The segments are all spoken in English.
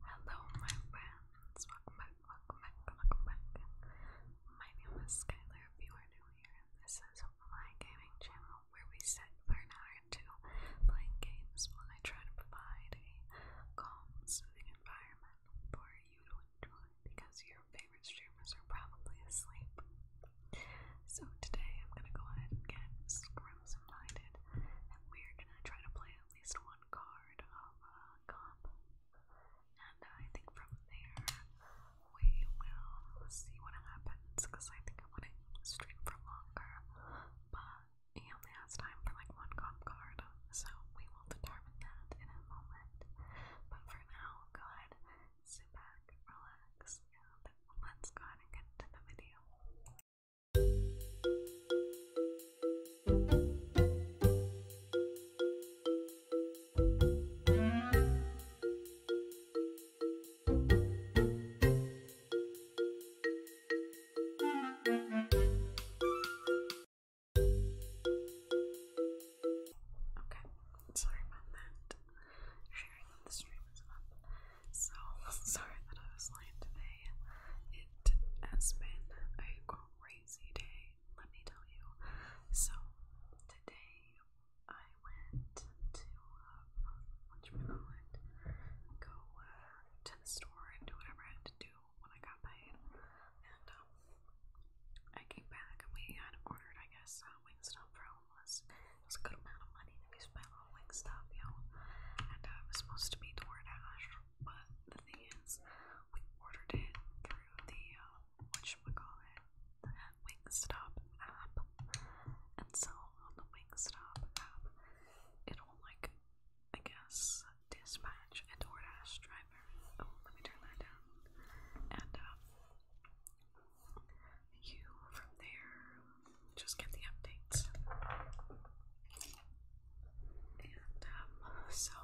Hello, my friends. Welcome back, welcome back, welcome back. My name is Skylar. If you are new here, this is my gaming channel where we set for an hour prior to playing games while I try to provide a calm, soothing environment for you to enjoy because your favorite streamers are probably asleep. So today I'm gonna go ahead and get Scrimson Minded and we're gonna try to play at least one card of uh, comp. And I think from there we will see what happens because I think I want to stream for longer. But he only has time for like one comp card, so we will determine that in a moment. But for now, go ahead, sit back, relax, and let's go ahead and get to the video. Okay, sorry about that. Sharing the stream is up. So sorry that I was late today. It has been a crazy day, let me tell you. So today I went to um, what Go uh, to the store and do whatever I had to do when I got paid. And um, I came back and we had ordered, I guess, uh, Wingstop for homeless. a good amount of money we spent on Wingstop, you know. And uh, was supposed to be DoorDash, but the thing is, we ordered it through the uh, what should we call it? The Wingstop app. And so on the Wingstop app, it'll like I guess, dispatch a DoorDash driver. Oh, let me turn that down. And um, you from there just get the updates. And um, so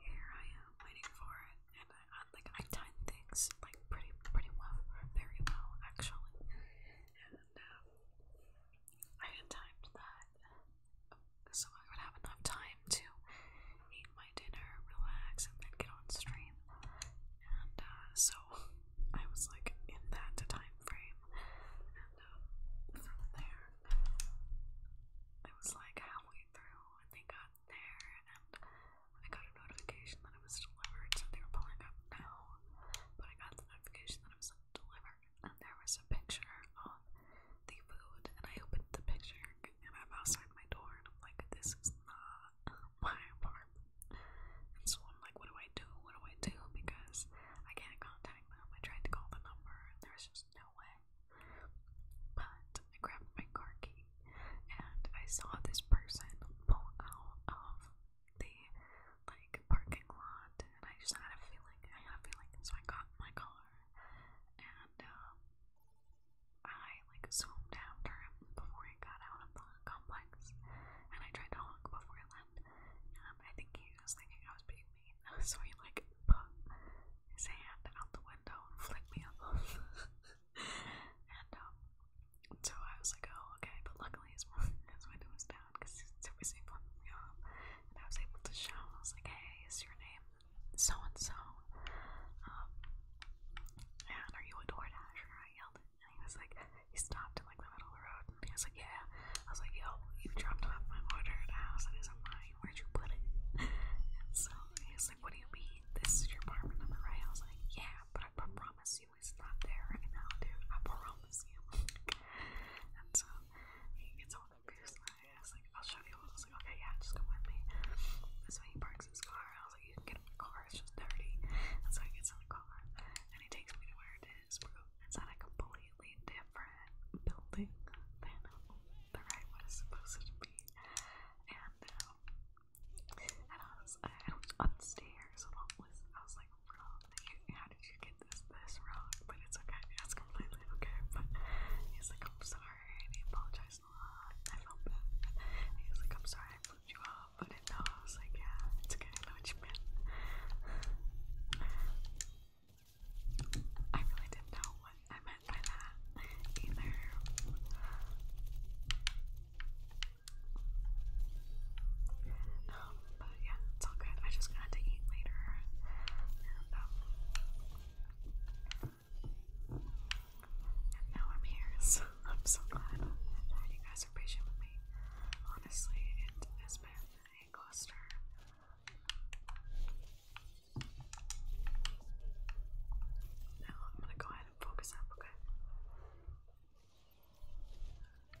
here I am waiting for it, and I, like I time things like pretty pretty well, very well actually. And um, I had timed that so I would have enough time to eat my dinner, relax, and then get on stream. And uh, so I was like in that time frame. And uh, there, I was like halfway through when they got there, and I got a notification that it was delivered, so they were pulling up now. But I got the notification that it was delivered and there was a picture of the food, and I opened the picture, and I'm outside my door, and I'm like, this is not my apartment. And so I'm like, what do I do? What do I do? Because I can't contact them. I tried to call the number, and there's just no way. But I grabbed my car key, and I saw this person pull out of um, the like parking lot, and I just had a feeling. I had a feeling, so I got my car, and um, I like zoomed after him before he got out of the complex, and I tried to honk before he left. I think he was thinking I was being mean, so he like put his hand out the window and flicked me off. and um, so I was like, oh okay, but luckily his, his window was down down because there was a one room. And I was able to shout, I was like, hey, is your name so and so? Um, and are you a door dasher? I yelled it. And he was like, he stopped in like the middle of the road and he was like, yeah. I was like, yo, you dropped off my order at a house that isn't mine. Where'd you put it? And so he was like, what do you mean? This is your apartment number, right? I was like, yeah, but I promise you it's not there right now, dude. I promise you. and so it's all the goose I was like, I'll show you. I was like, okay, yeah, just come with me. That's so why he parks his car. I was like, you can get in my car, it's just dirty. And so he gets in the car and he takes me to where it is, bro. It's at a completely different building than the ride was supposed to be. And um, and I was, I was upstairs and all this. I was like, how did you get this this wrong? But it's okay. It's completely okay. But he's like, I'm sorry. And he apologized a lot. I felt bad. And he was like, I'm sorry I put you off. But I know. I was like, yeah, it's okay. I know what you meant. I really didn't know what I meant by that either. Um, but yeah, it's all good. I just got to eat later. And, now I'm here, so I'm so glad you guys are patient with me. Honestly, it has been a cluster. Now I'm gonna go ahead and focus up, okay?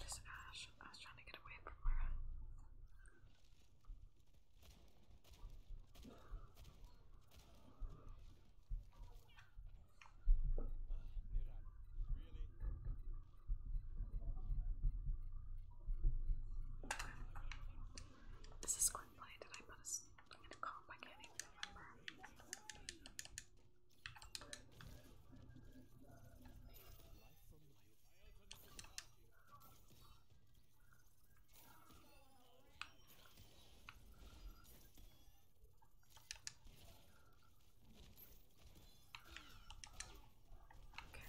This ash, I was trying to get away from her. This is Glenplay. Did I put a I'm gonna calm, I can't even remember. Okay.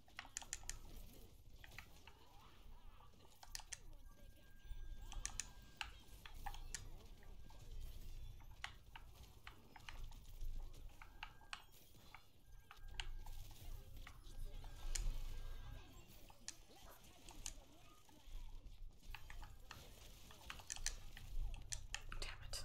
Damn it.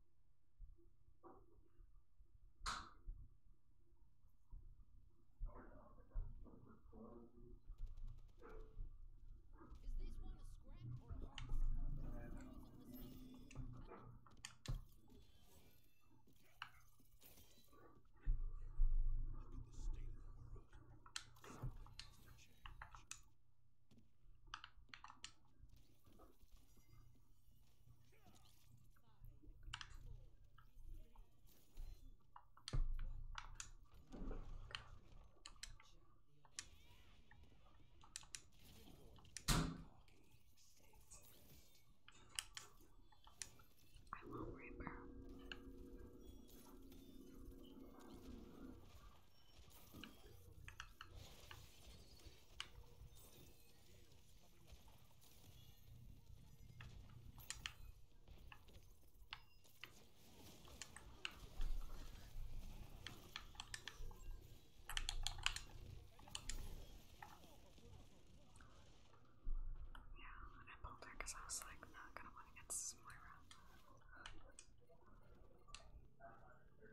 Look at the state of the world. Something has to change. I won't worry about yeah, I pulled her because I was like, not gonna want to get Smyra.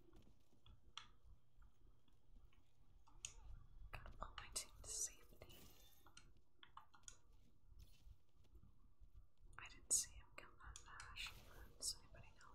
Gotta pull my team to safety. I didn't see him kill that Nash. Does anybody know?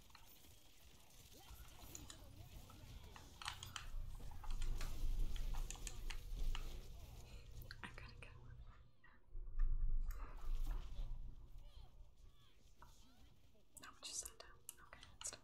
I'm gonna go. Now we just sat down. Okay, let's do it.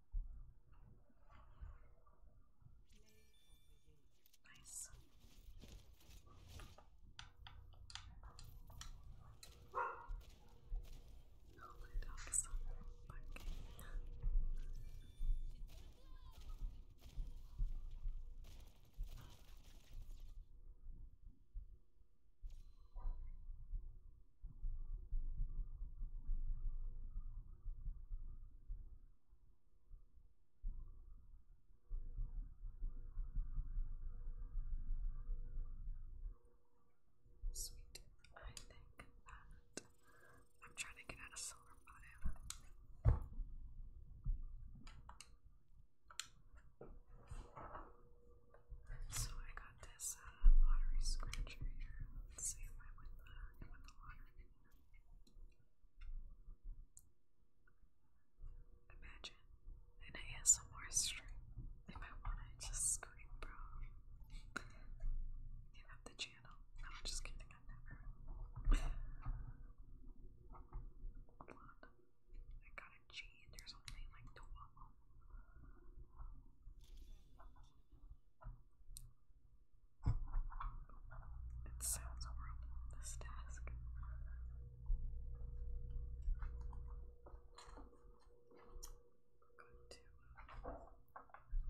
Nice. Oh, my dog is so fucking. Sweet. I think that I'm trying to get out of silver So I got this uh, scratcher here. Let's see if I win Imagine an ASMR stream if I wanna just scream, bro. Give up the channel. I'm just kidding, I never. I got a G and there's like 12 it sounds horrible, this task. I'm going to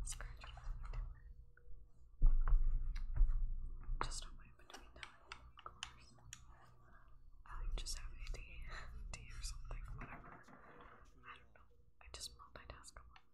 scratch around a little bit. Just between time, of course. I just have a D, D or something, whatever. I don't know. I just multitask a lot.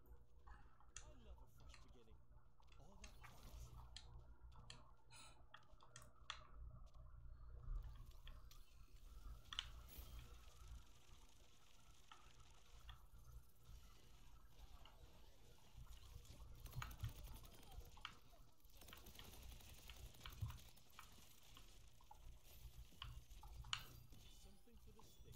I love a fresh beginning. All that promise. Something for the stick.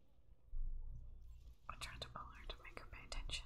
I tried to pull her to make her pay attention.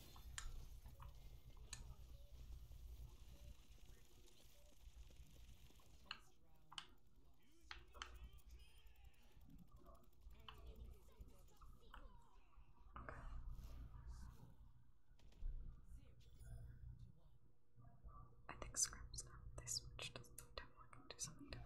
I think Scrap's not this much, doesn't look different. I can do something different.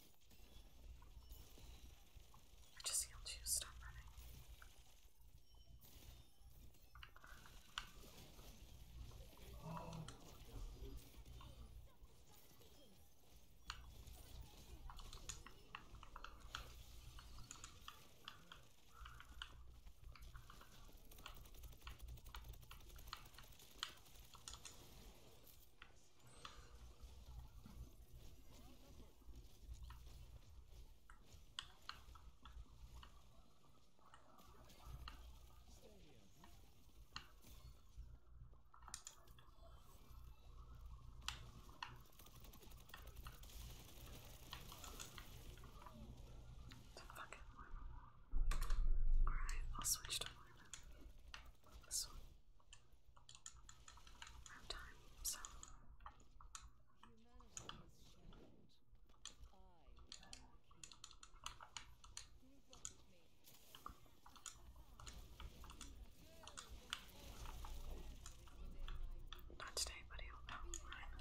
I just healed you, stop running. It's a fucking Alright, I'll switch to Mormon. This one have time, so. Not today, buddy. Oh, fine.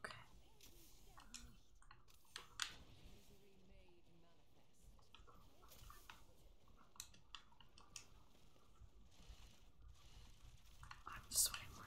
Okay. I'm just sweating more.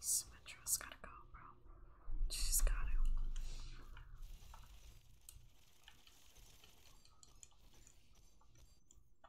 Symmetra's gotta go, bro. She's gotta.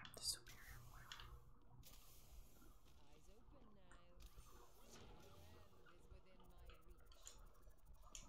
I'm the superior one. Eyes open now. Your hand is within my reach.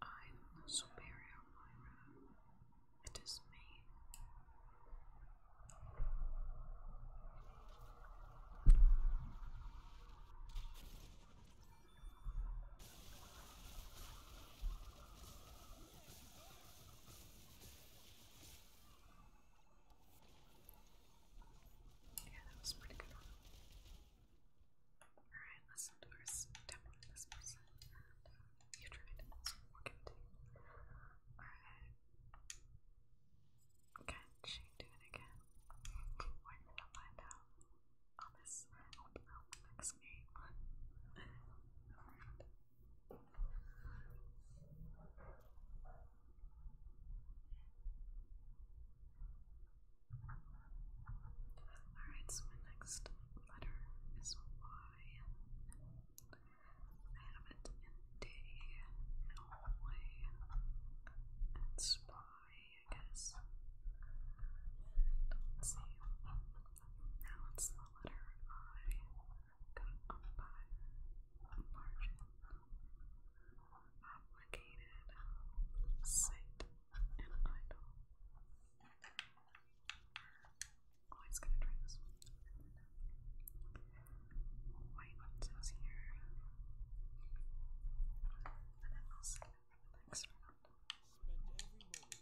I am the superior Myra. It is me. Yeah, that was pretty good Alright, let's do this uh, you tried, so we'll give it Alright. Can she do again? We're gonna find out on this next game. Alright. Alright, so my next letter is Y. I have it in D, Norway, and Spy, I guess. Let's see. Now it's the letter I got on by margin sight and idol. Always gonna try this one. White is here. And then we for the next round.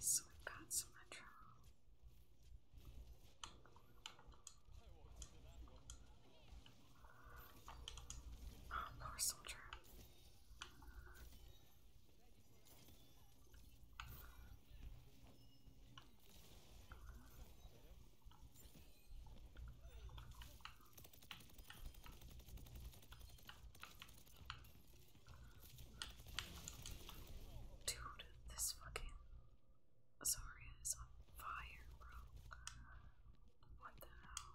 So we've got some retro. Oh, poor soldier. Dude, this fucking Zarya is on fire, bro. What the hell?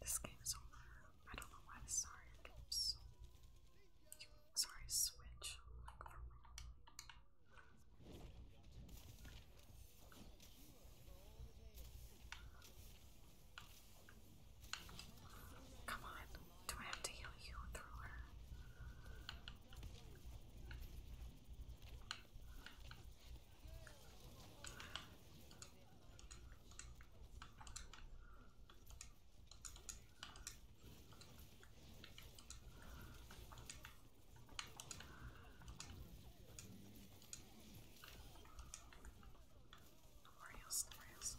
This game is all over. I don't know why this sorry Sorry, Switch. Come on, do I have to heal you through Oreos, Oreos.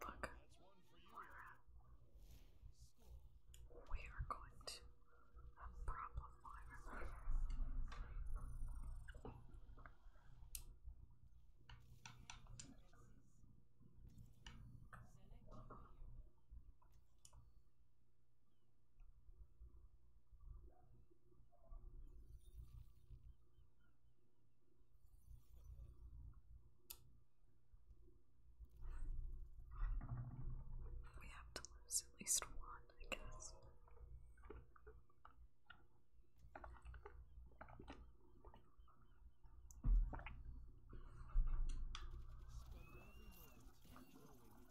Look, Moira, we are going to have a problem, Moira. We have to lose at least one, I guess.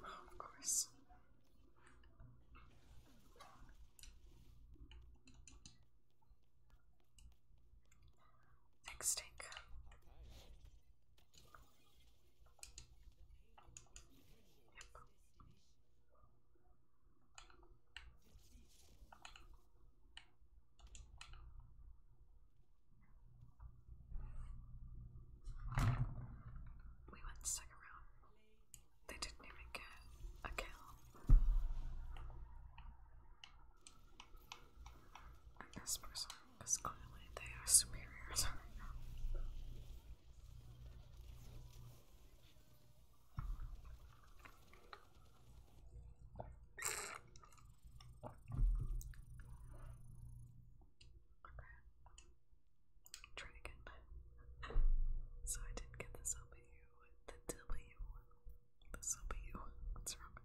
Well, of course. Next take. Yep. We went second round. They didn't even get a kill. this person is clearly they are superiors right now. Try again. so I didn't get the W, the W, the W. What's wrong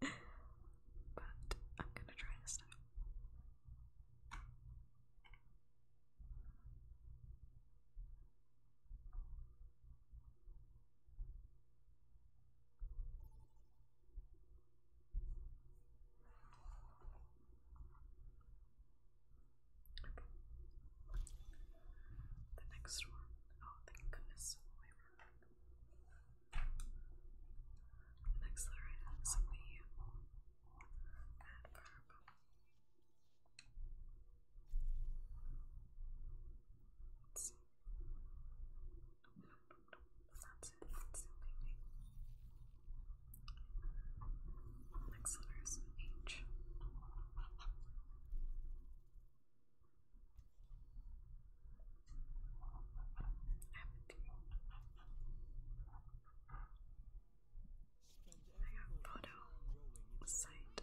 but I'm gonna try this now. The next one, oh thank goodness, The next letter is the that's it, that's the only thing. Next letter is H. Empty. I have photo, site,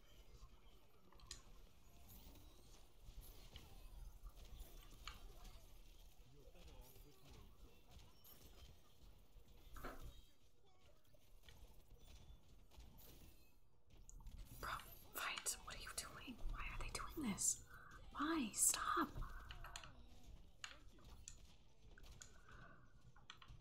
Bro, fight! What are you doing? Why are they doing this? Why? Stop!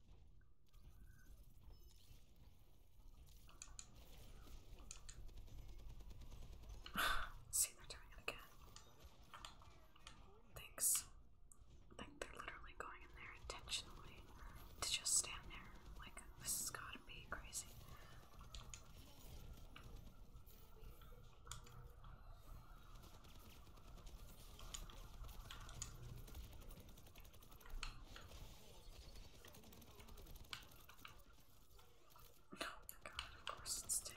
See, they doing it again. Thanks. Like, they're literally going in there intentionally to just stand there. Like, this has gotta be crazy. No, God, of course it's taken.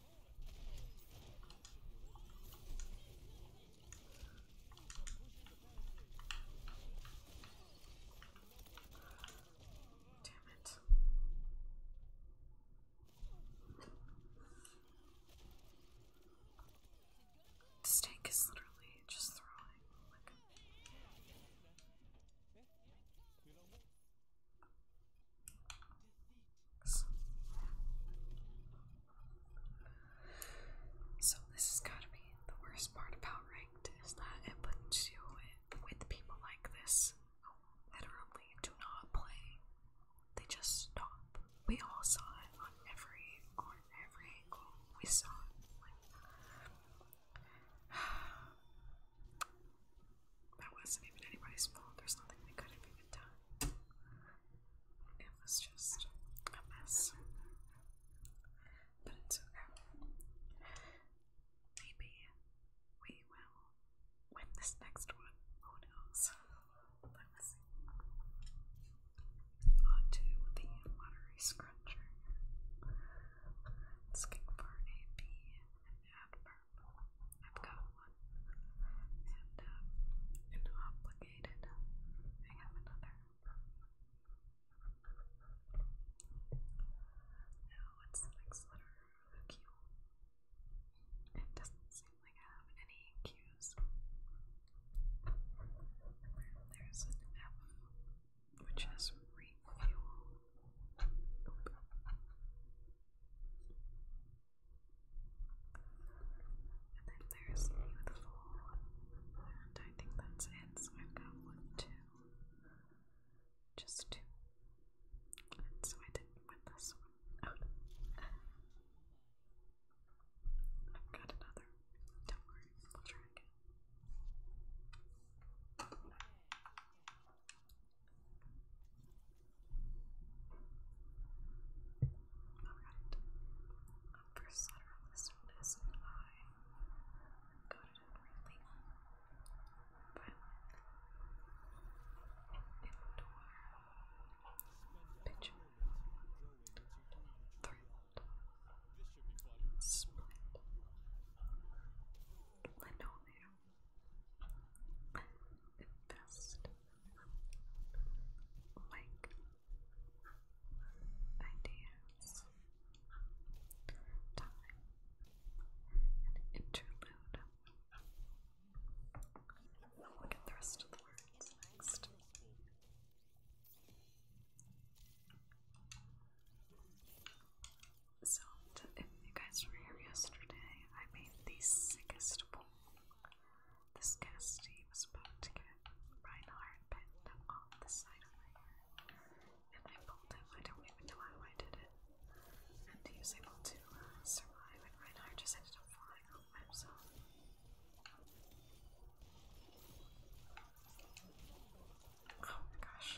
Damn it. This tank is literally just throwing so this has got to be the worst part about ranked is that it puts you with people like this who literally do not play. They just stop. We all saw it on every on every angle. We saw it. That wasn't even anybody's fault. There's nothing they could have even done. It was just a mess. But it's okay. Maybe we will win this next one. Who knows? Let me see. On to the watery scruncher. Let's get for a B and adverb. I've got one. And um I have another. Now oh, what's the next letter? It doesn't seem like I have any Q's. There's an F, which is refuel. And then there's beautiful, I think that's it. So I've got one, two, just two. so I did win this one. I've got another. Don't worry, we'll try again. Alright. Our first letter on this one is I. Got it in really violent. Indoor. Picture. Thrilled. Split invest like ideas, time, and interlude. look at the rest of the words next. So, if you guys were here yesterday, I made the sickest poll. This casty was about to get Reinhardt pinned on the side of my head, and I pulled him. I don't even know how I did it. And he was able to uh, survive, and Reinhardt just ended up falling off by himself. Oh my gosh.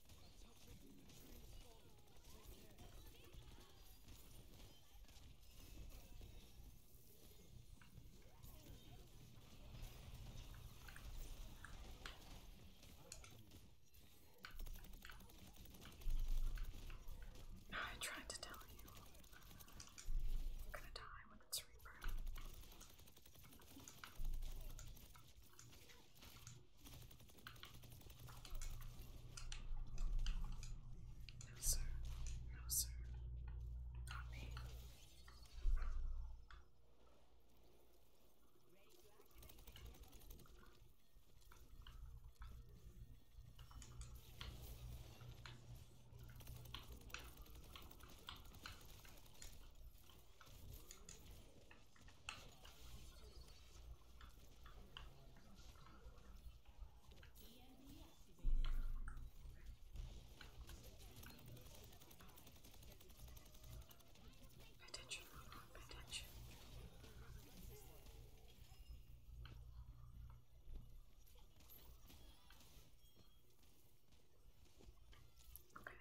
I tried to tell you. I'm gonna die when it's Reaper. No, sir. No, sir. Not me. Attention, attention. Okay.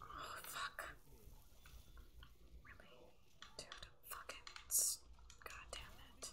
Oh fuck. Dude, fucking god damn it.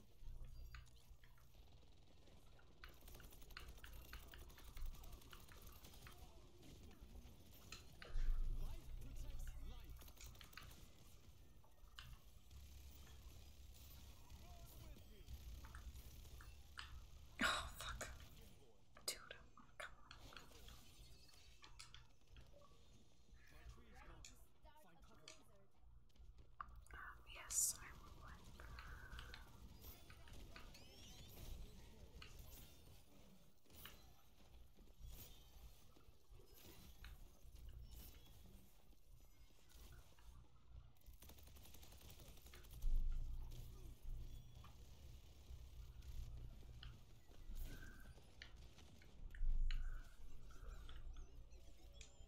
Oh fuck. Dude, oh, come on yes, I would.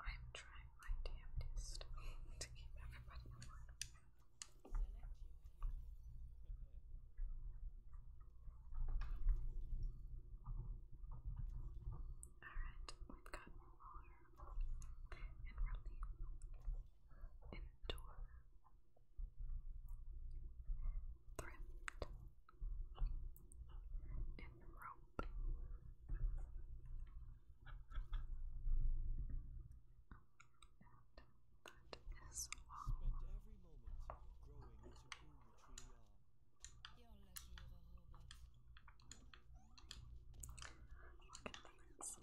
I'm trying my damnedest to keep everybody Alright, we've got Molar and Relief Endure Thrift and Rope and that is all. you you're lucky you're a robot. You can leave this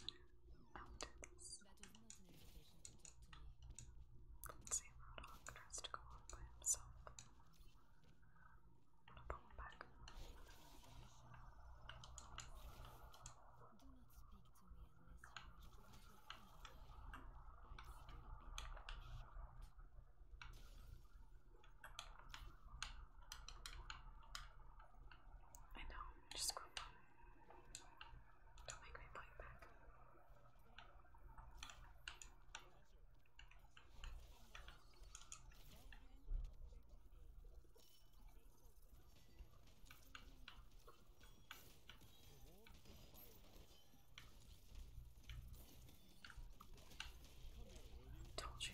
after this. That was not an invitation to talk to me. Lindsay Rodok tries to go on by himself. I'm gonna pull back. Do not speak to me unless you wish to leave your family. I'd still be the better shot. I know, just go Don't make me point back. Told you.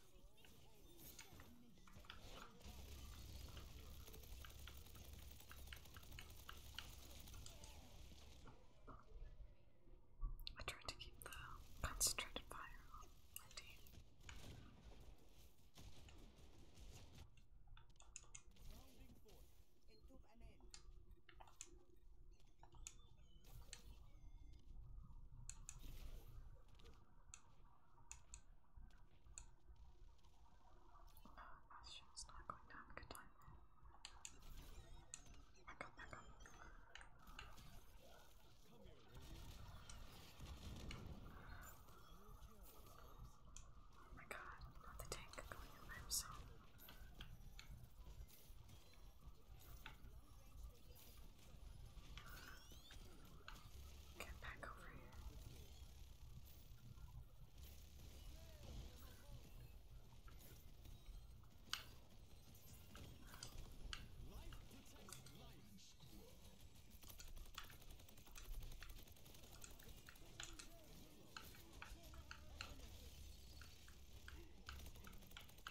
I tried to keep the concentrated fire on my team. Oh, she's not going to have a good time. Back up, back up. Oh my god, not the tank going in by himself. Get back over here. Life yeah, we're,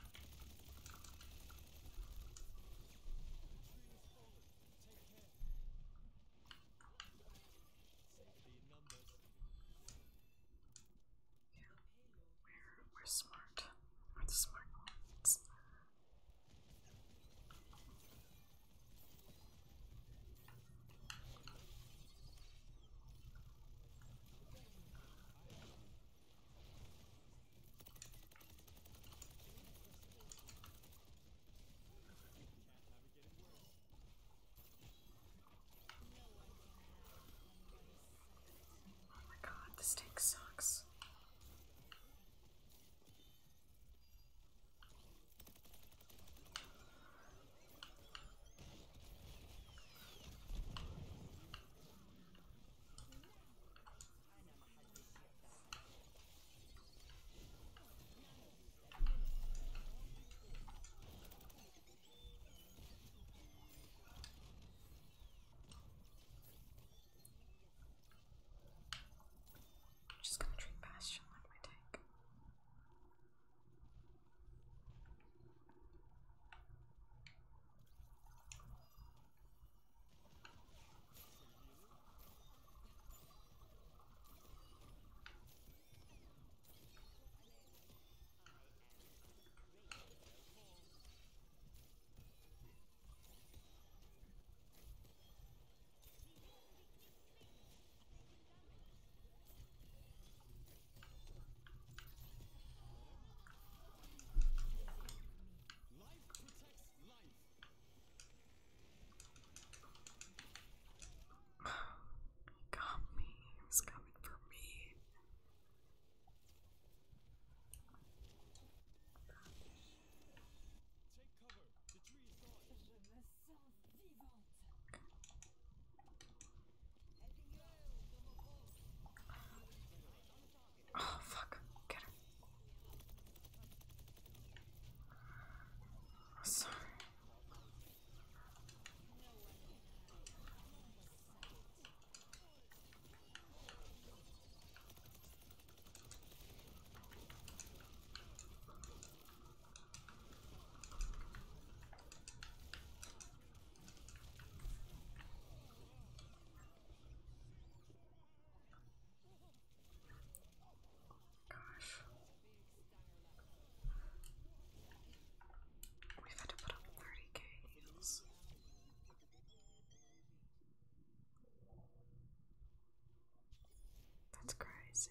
we're smart. We're the smart ones. Oh my god, this tank sucks. I'm just gonna treat Bastion like my tank. Life protects he got me. He was coming for me. Take cover. The tree is gone. Oh, fuck. Get him. Sorry. Gosh. we had to put up 30k needles. That's crazy.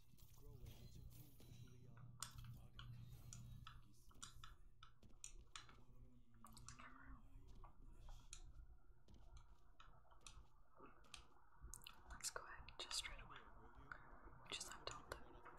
Let's go ahead just straight away. Just on top of Scanning.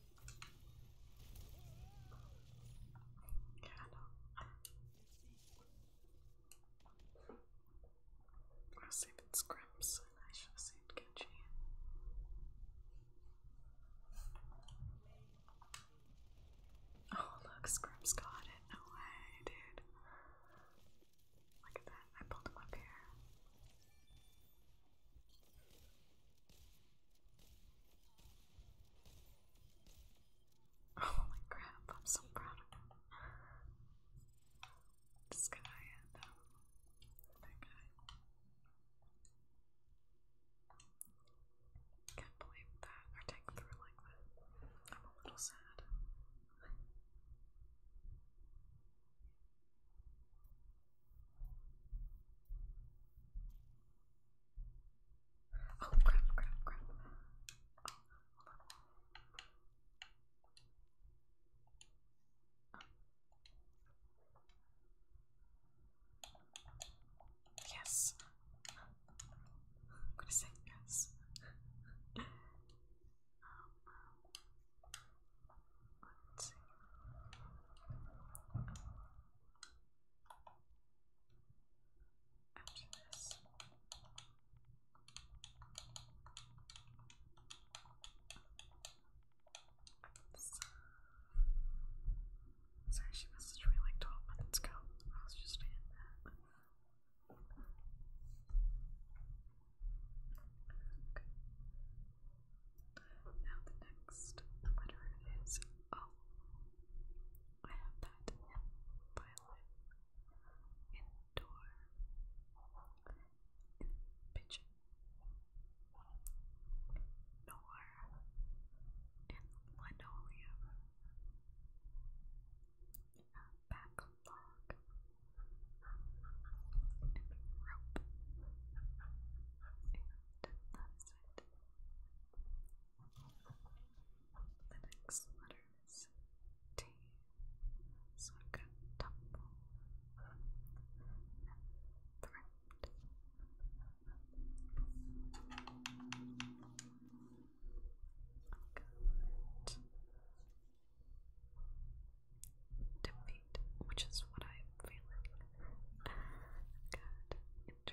I was saving and I should have saved Genji. Oh look, scrim got it. No way, dude. Look at that. I pulled him up here. Oh my crap, I'm so proud of him. This guy and uh, um, that guy. Can't believe that our tank through like that. I'm a little sad. Oh crap, crap, crap. Yes. I'm gonna say yes. Um, let's see after she messaged me like 12 minutes ago. I was just in that. Now the next letter is O. I have that violet, in in pigeon, nor, in linoleum, backlog, and rope, and that's it. The next letter is T. So defeat, which is what I'm feeling. i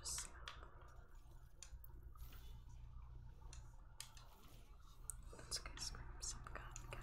Just Let's go scream some gun again.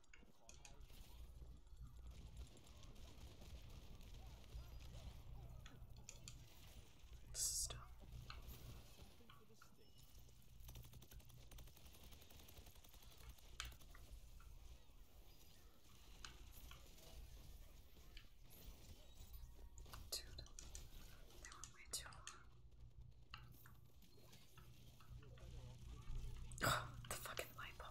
This is Dude, they were way too Oh, the fucking light bulb.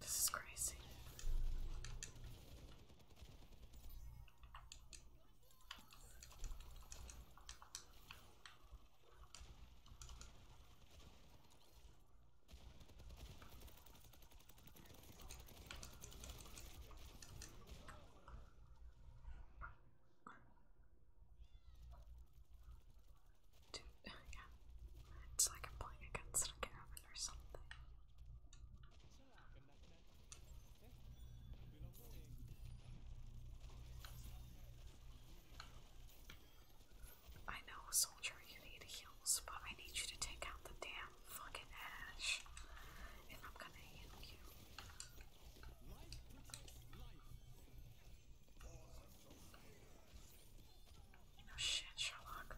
This is crazy. Dude, yeah. It's like I'm playing against a cabin or something. I know, soldier, you need heals, but I need you to take out the damn fucking ash. And I'm gonna heal you. No shit, Sherlock.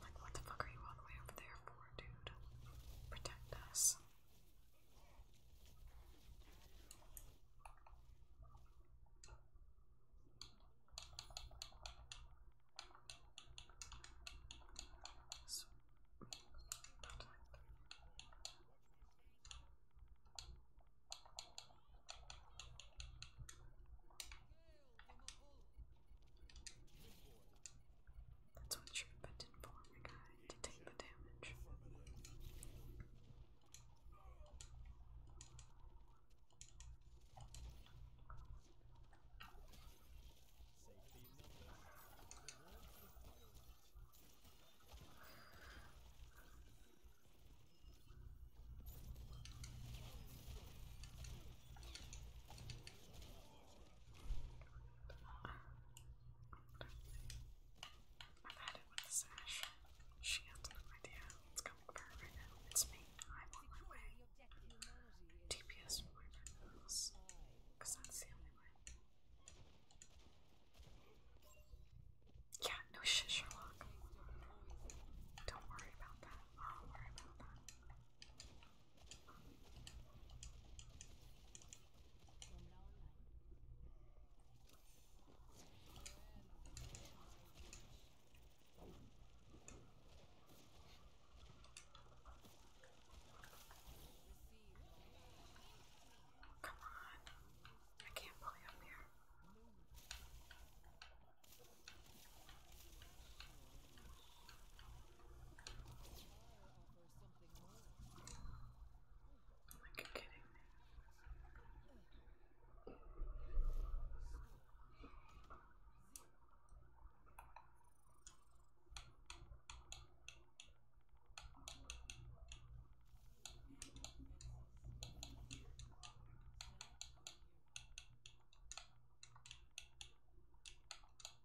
Like, what the fuck are you all the way over there for, dude? Protect us. That's what Shrimpet did for my guy to the damage. I've had with sash. She has no idea what's coming for her right now. It's me. I'm on my way. DPS from my that's the only way. Yeah, no shit, Sherlock. Don't worry about that. I'll worry about that. Come on. I can't play up here. Like kidding me.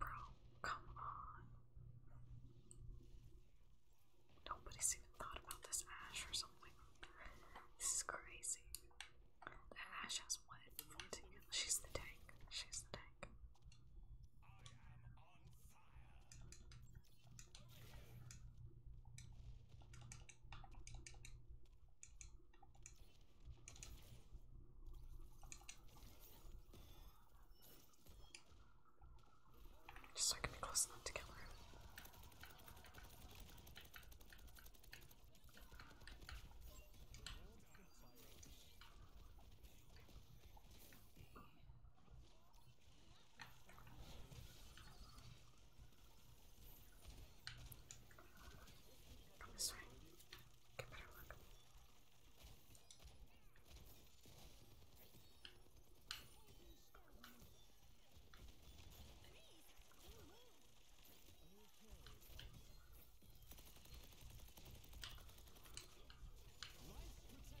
Bro, come on. Nobody's even thought about this ash or something. This is crazy. ash has one She's the tank. She's the tank. Just so I can be close enough to kill her. This way. Get better luck. Life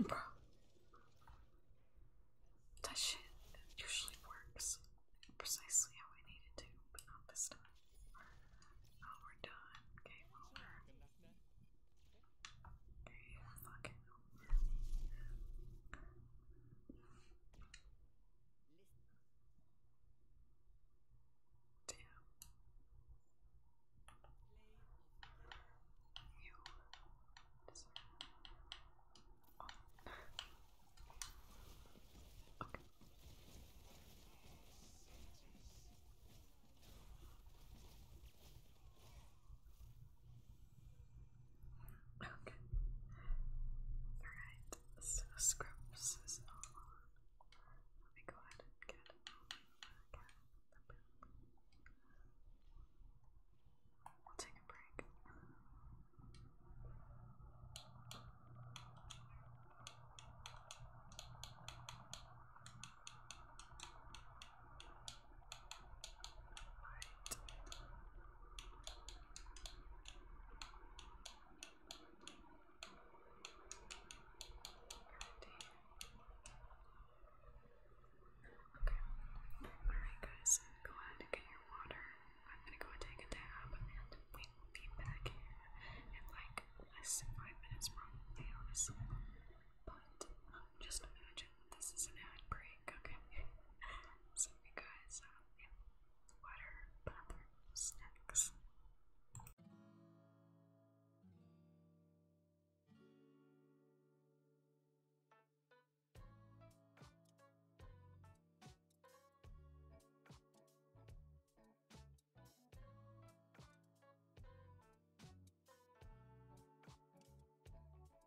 Bro. That shit usually works precisely how I need to, but not this time. Oh, we're done. Game over. Game fucking over. Damn. You deserve. Oh. okay. Okay. Alright, so Scrubs Let me go ahead and get We'll take a break. Okay. Alright guys, go ahead and get your water. I'm gonna go and take a dab and we will be back here in like less five minutes probably honestly. But um, just imagine this is an ad break, okay? so you guys uh, and water, bathroom snacks.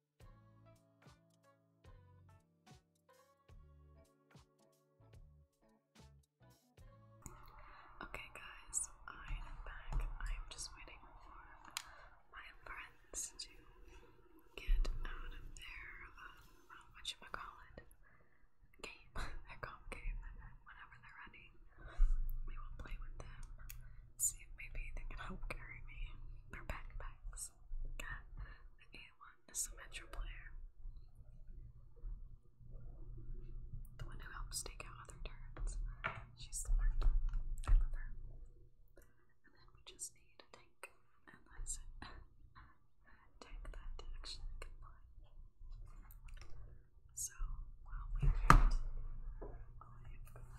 Okay, guys, I am back. I am just waiting for my friends to get out of their, um, uh, whatchamacallit, game, their comp game, and then whenever they're ready, we will play with them, see if maybe they can help carry me, their backpacks. Got the A1 is the Metro player. The one who helps take out other turrets. She's smart. I love her. And then we just need a tank. And that's it. tank that actually can fly. So while we wait, I've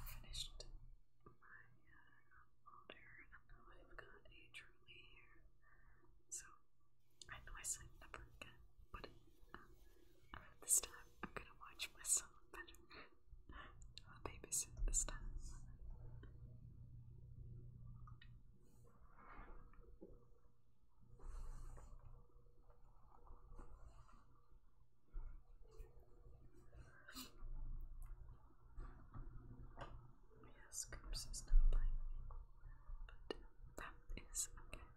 finished my uh, i So I know I said never again, but this time I'm gonna watch my son better. I'll babysit this time. Yes, Scoops is not playing but that is okay.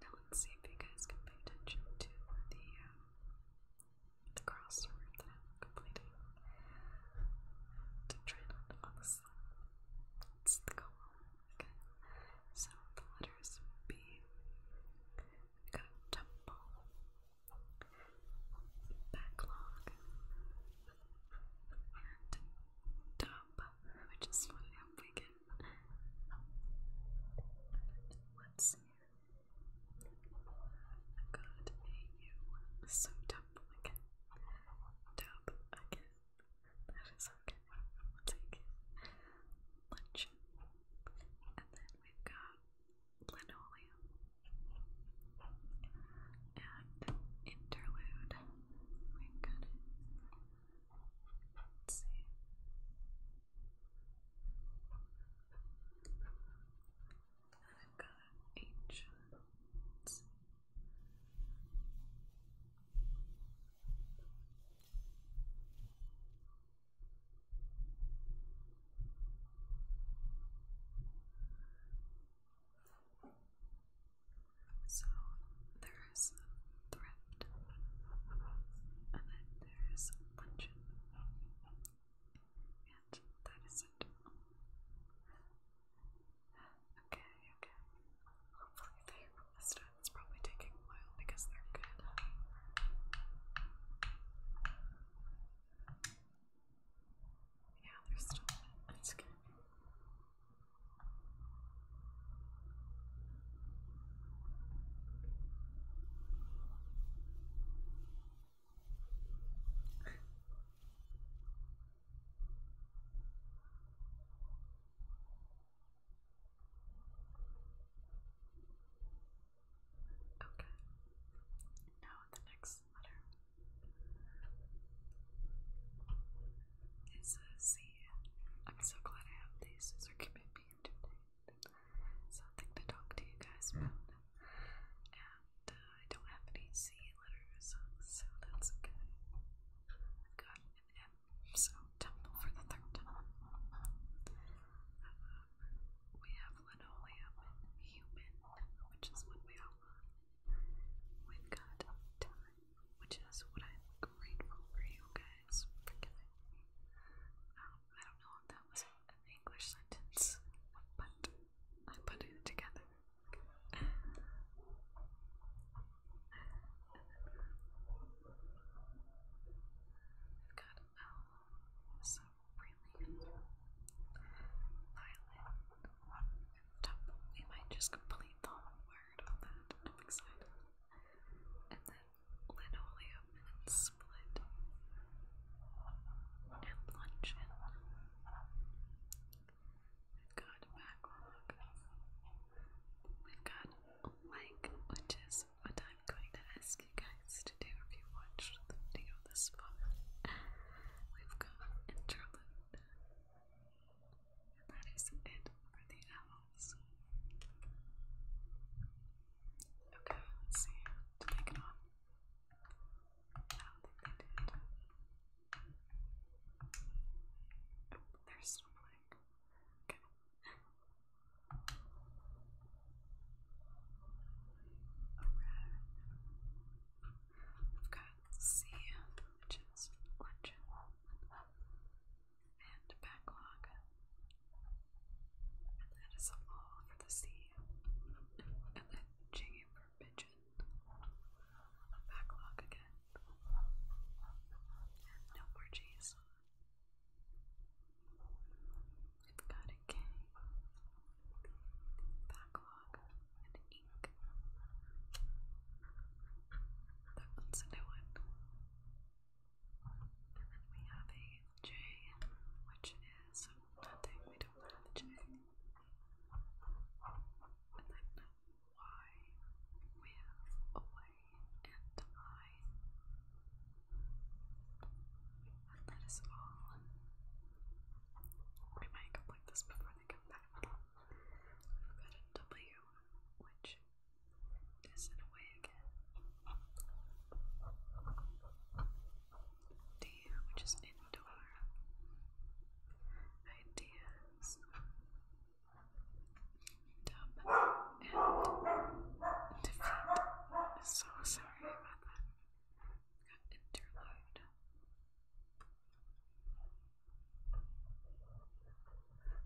Now let's see if you guys can pay attention to the, um, the crossword that I'm completing. To try not to fall asleep. It's the goal, okay? So the letters B. We got backlog and dump, which is what I hope we get. Let's so dump again. Dump again. That is okay. We'll take it. Lunch. And then we've got linoleum and interlude. We got it. Let's see. I've got ancient. So there is thrift, and then there is luncheon, and that is it. Okay, okay. Hopefully they this It's probably taking a while because they're good. Yeah, they're still That's good. okay. Now the next letter. It uh, says I'm so glad I have these, these are keeping Something to talk to you guys about. And uh, I don't have any C letters, so that's okay. I've got an M, so temple for the third time. Uh, we have linoleum and human, which is what we all We've got time, which is what I'm grateful for you guys for me. Um, I don't know if that was an English sentence, but I put it together. We've got L, so really, Violet, we might just complete the word on that. I'm excited. And then linoleum and split. And luncheon. We've got backlog. We've got like, which is what I'm going to ask you guys to do if you watch the video this far. We've got interlude. And that is it for the owls. Okay, let's see. Did they uh, get on? I they did. Oh, they Okay. A red. I've got C, which is luncheon, and backlog. And that is a for the sea. And then J for pigeon. Backlog again. And no more G's. I've got a K backlog, and ink. That a new one. And then we have a J, which is nothing. We don't have a J. And then Y, we have away and I. that is all. I might complete this before for the which is in a way again. D, which is indoor. Ideas. and defeat. So sorry about that interlude.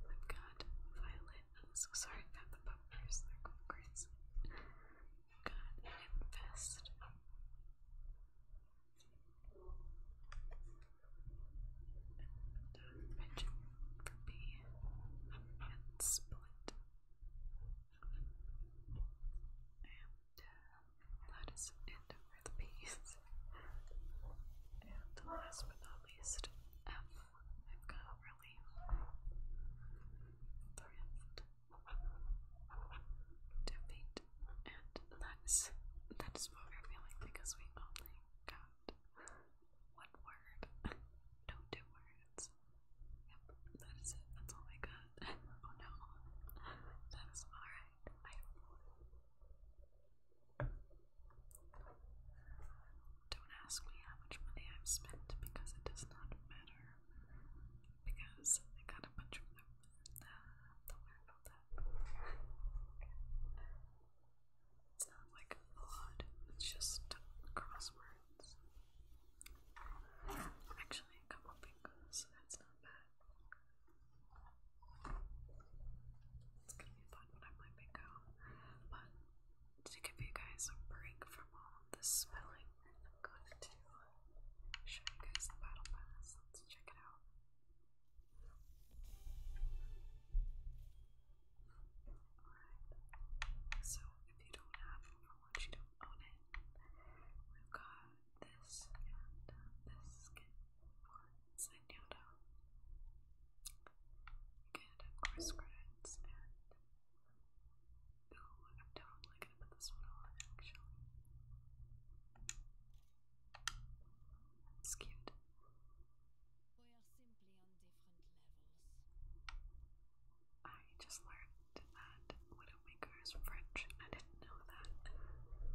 I've got Violet. I'm so sorry about the bumpers, they're going I've got Infest. And Pigeon for B. And Split. And uh, that is it for the piece. And last but not least, F. I've got really thrift defeat. And that is that is what we're feeling because we only got one word. no two words. Yep, that is it. That's all I got. oh no. That is alright. I don't ask me how much money I've spent because it does not matter. Because I got a bunch of them. Uh, don't that. It's not like a lot, it's just crosswords. Actually, a couple things, that's not bad. It's gonna be fun when I am make home. But to give you guys a break from all of this spelling, I'm going to show you guys the battle pass. Let's check it out. Alright. So if you don't have Overwatch, you don't own it. We've got this and uh, this skin for Zenyatta. You of course, credits and. Ooh, I'm totally gonna put this one on actually. It's cute. We are simply on different levels. I just learned that Widowmaker is French and know that.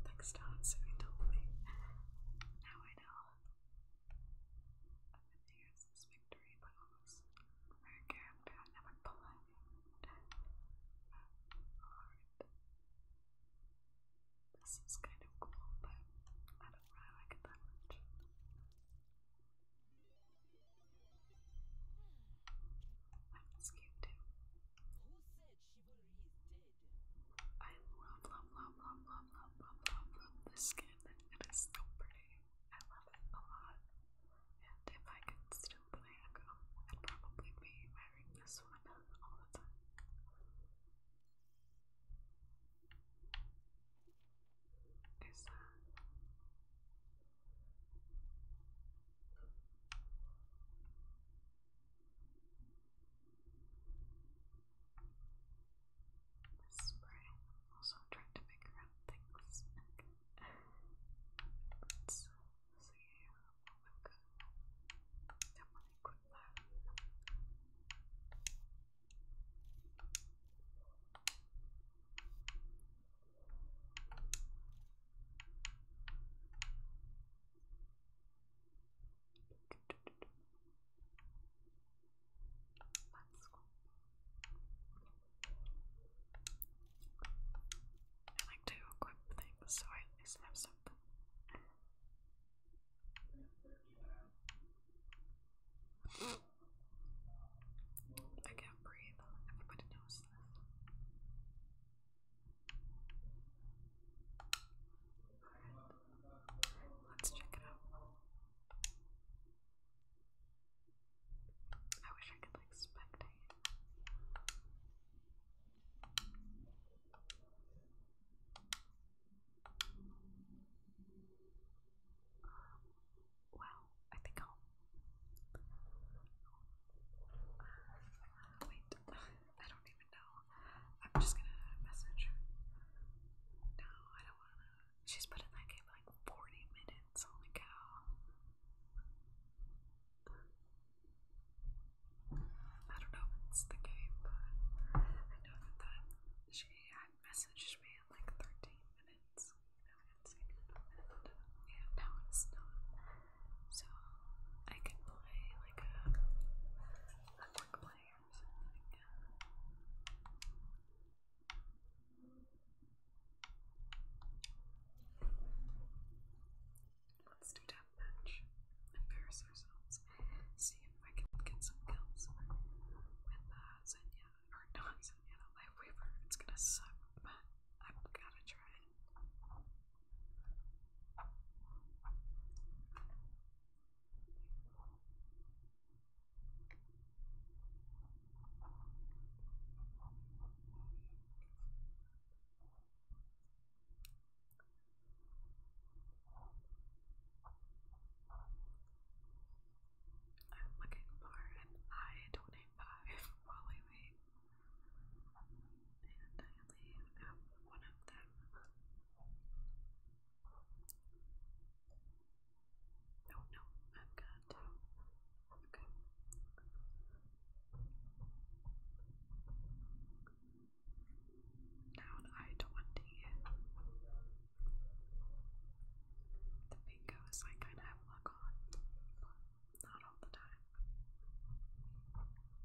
Thanks to Hatsumi told me. Now I know. I've been here since but almost rare character never pull Alright. This is kind of cool, but I don't really like it that much. That was cute I love, love, love, love, love, love, love, love, skin. It is so pretty. I love it a lot. And if I could still play a I'd probably be wearing this one all the time. Is that? Spray. Also, I'm trying to figure out things. Let's see what we've Definitely equip that. Let's I like to equip things so I at have something. I can't breathe. Everybody knows this. Let's check it out. I wish I could like spectate. Wow, I think I'll wait. I don't need even know. I'm just gonna message her. No, I don't wanna. She's in that game like 40 minutes. Holy cow. I don't know it's the game, but I know that, that she had messaged me in like 13 minutes. You know, it's like, and, yeah, now it's not so I can play like a network player Let's do that match. Embarrass ourselves. See if I can get some kills with uh, Zenya. Or not Zenya, Life Weaver. It's gonna suck, but I've gotta try I'm looking for an I-25 Wally Wait. And I only have one of them. No, no, I've got to. Okay. Down I twenty. The bingos I kind of have luck on, not all the time.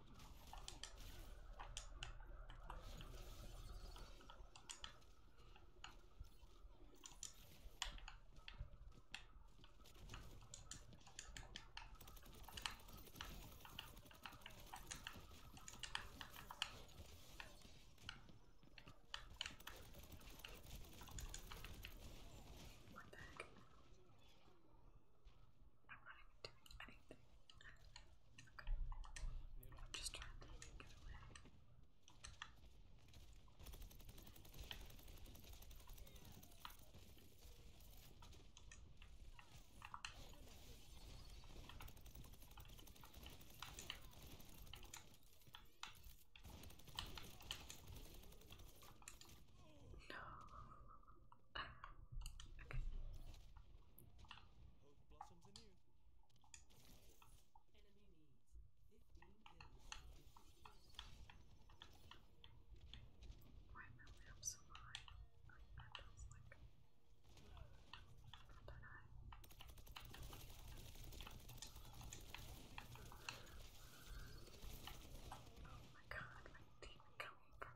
One back. I'm not even doing anything. Okay. I'm just trying to get away. No. okay blossoms anew. Enemy needs 15 kills. Why am I way so high? I, that like... Not that high. Oh my god, where did it come from?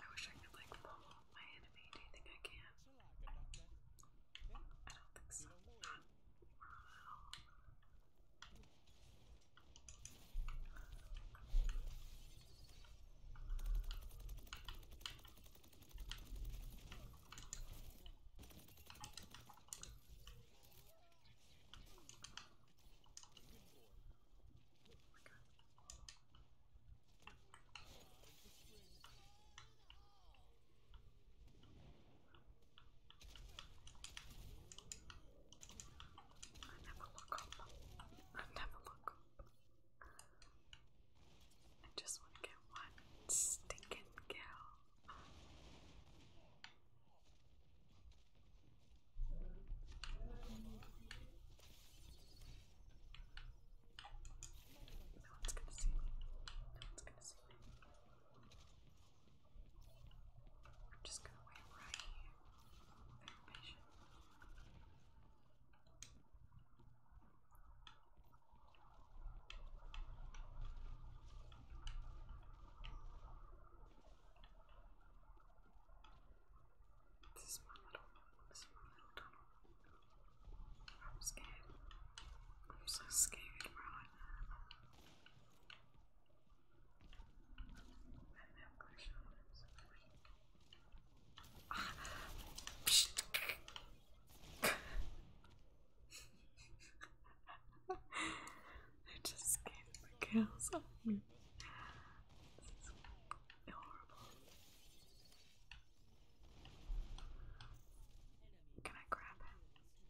I wish I could like follow my enemy. Do you think I can? I don't think so. I never look up. I never look up. I just want to get one stinking kill. No one's gonna see me. No one's gonna see me. I'm just gonna wait right here. Very patient. All this is my little tunnel. I'm scared. I'm so scared, I just scared the girls off this is Can I grab him?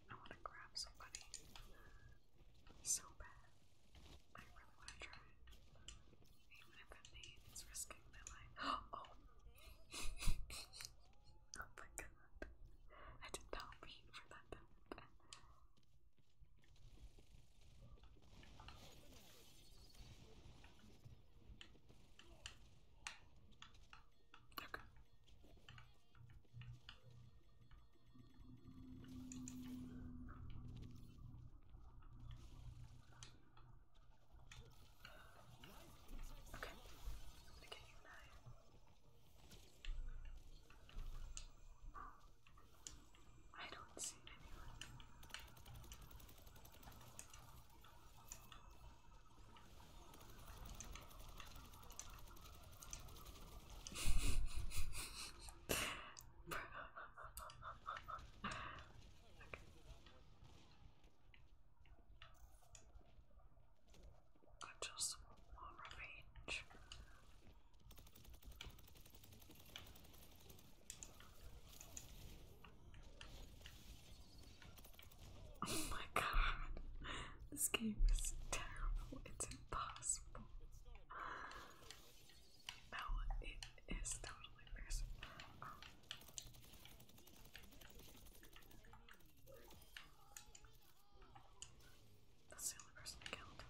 I want to grab somebody so bad. I really want to try Even if it means risking my life. Oh. oh! my god. I did not mean for that Okay. Okay. I'm gonna get you an eye. I don't see anyone. I just want revenge. Oh my god, this game is terrible, it's impossible. No, it is totally missing. Um, that's the only person killed.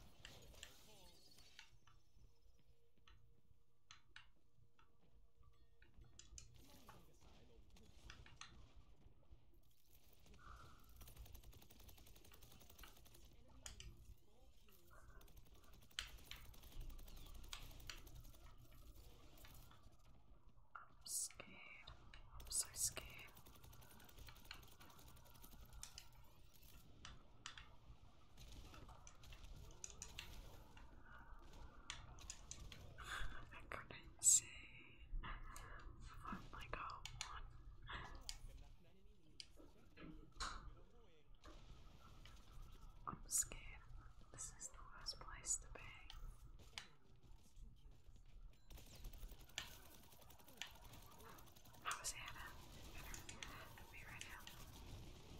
I'm scared. I'm so scared. I couldn't say from like a I'm scared. This is the worst place to be. Hosanna and me right now.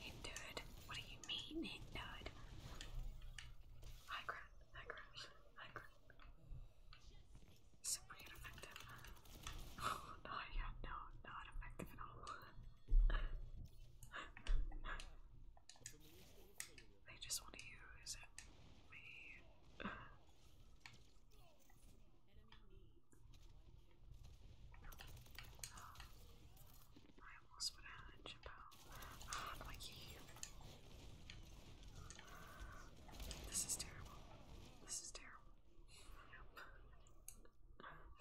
It What do you mean it did? I crap, I crap, Super ineffective. Oh no, yeah, no, not effective at all. they just want to use me. I almost would have Ah, my key. This is terrible. This is terrible.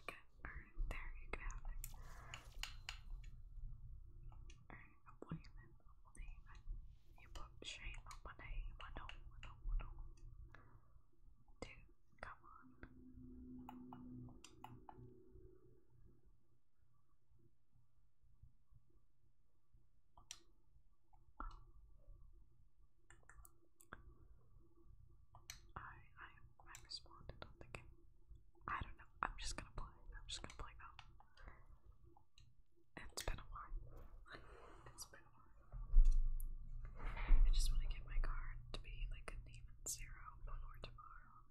Okay, alright, there, you can Alright, I'm You put shame my name, I know, I know, I know. Do come on. I I responded. I'm thinking. I don't know. I'm just gonna play. I'm just gonna play now. It's been a while. it's been a while. I just want to get my card to be like can even zero before tomorrow.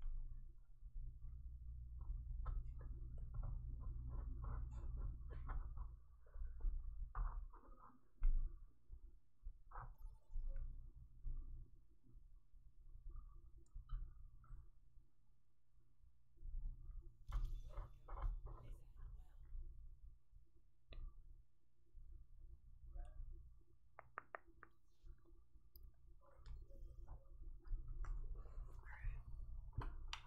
All right. Spend every moment growing into who you truly are. It's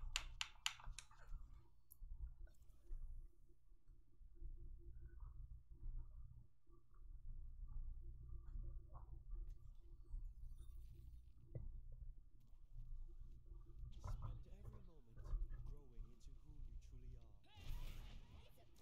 a perfect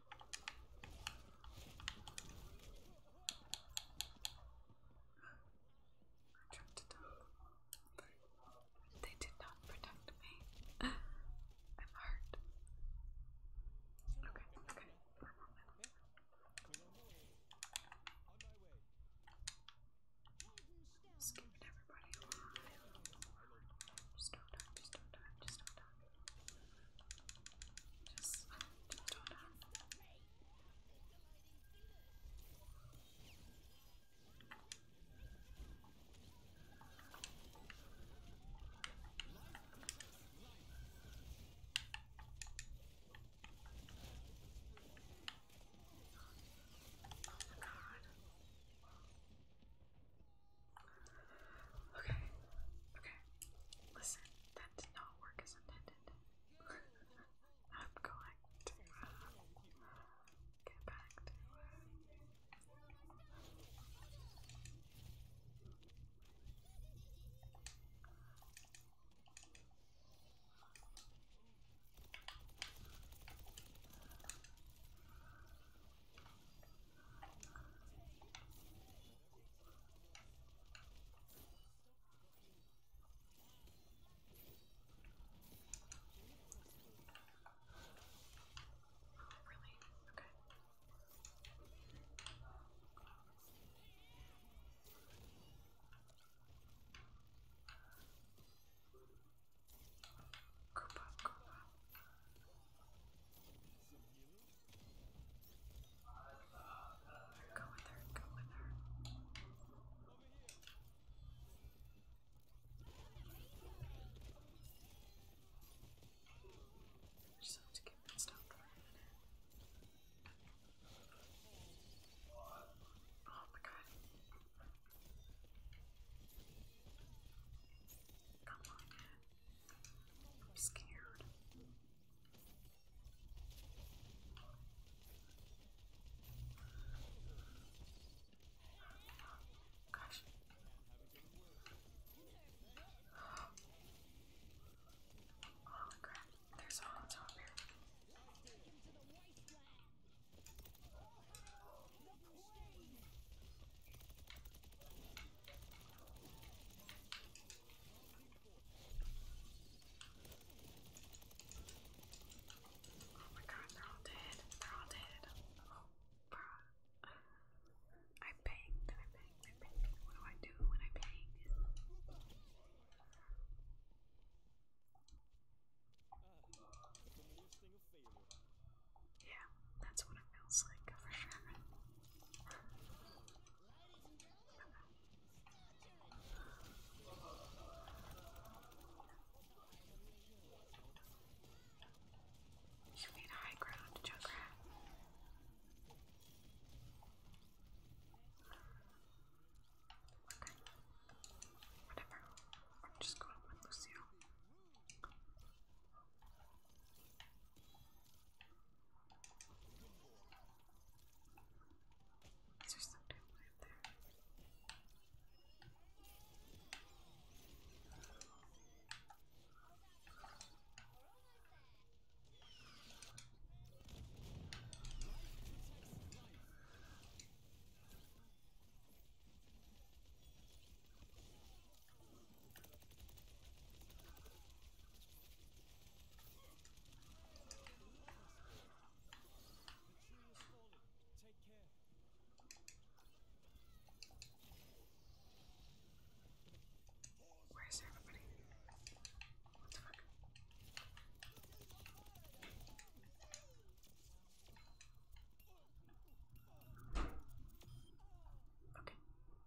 I tried They did not protect me. I'm hurt. Okay, okay. One moment. Just keeping everybody Just do just do just don't know. Oh my god. Okay, okay. Listen, that did not work as intended. I'm going to uh, get back to. Uh, Oh, really? Okay. Coop up, coop up. Go with her, go with her. I just have to get that stopped for a minute. Oh my god. Come on, Dad. I'm scared. Gosh. Oh crap, there's homes over here. Oh my god, they're all dead. They're all dead. Oh god. I banged, I banged, I banged. What do I do when I bang? Yeah, that's what it feels like for sure. You need high ground, Junkrat. Okay. Whatever. I'm just going with Lucille. Is there something up there? Where's everybody? What the fuck? Okay,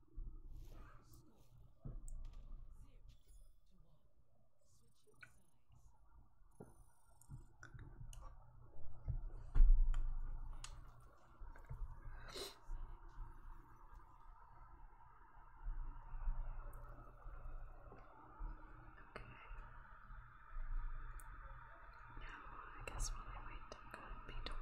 now I guess while I wait, I'm going to be done.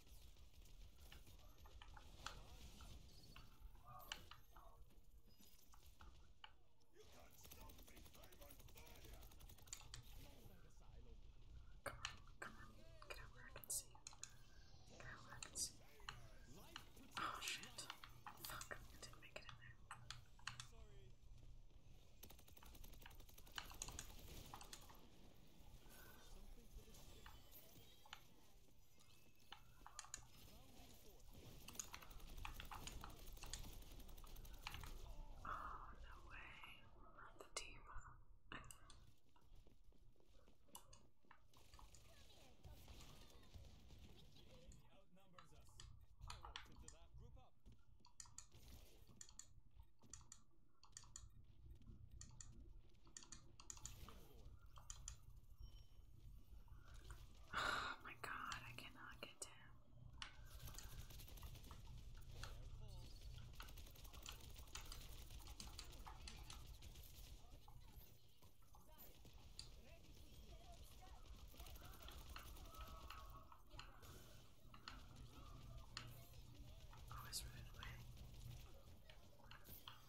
Come on, come on, get out where I can see. Get out where I can see. Oh shit. Fuck, I didn't make it in there. Oh, no way. Not the team. Oh my god, I cannot get to him. Always running away.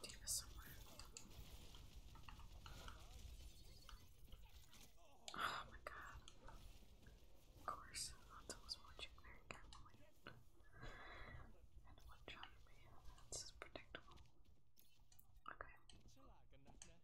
Deep is somewhere. Oh my god. Of course, Hunter was watching very carefully. And one shot me, that's predictable. Okay.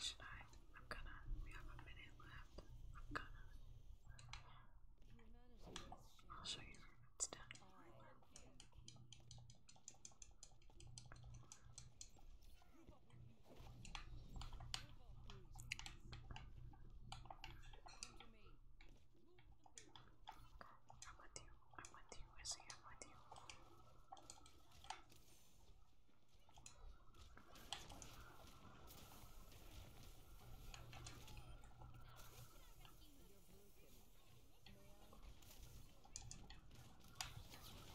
Should I? I'm gonna. We have a minute left. I'm gonna. I'll show you when it's done. I'm with you. I'm with you. I see. I'm with you.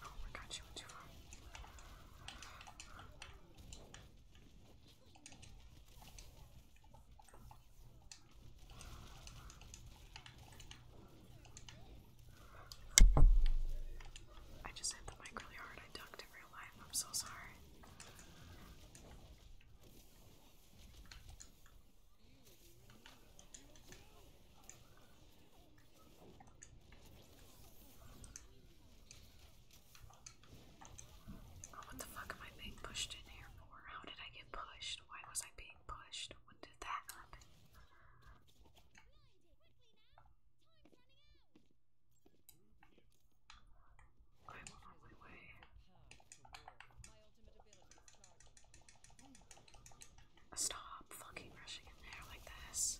Oh my God, she went too far. I just hit the mic really hard. I ducked in real life. I'm so sorry. Oh, what the fuck am I being pushed in here for? How did I get pushed? Why was I being pushed? When did that happen? I'm on my way. Stop fucking rushing in there like this.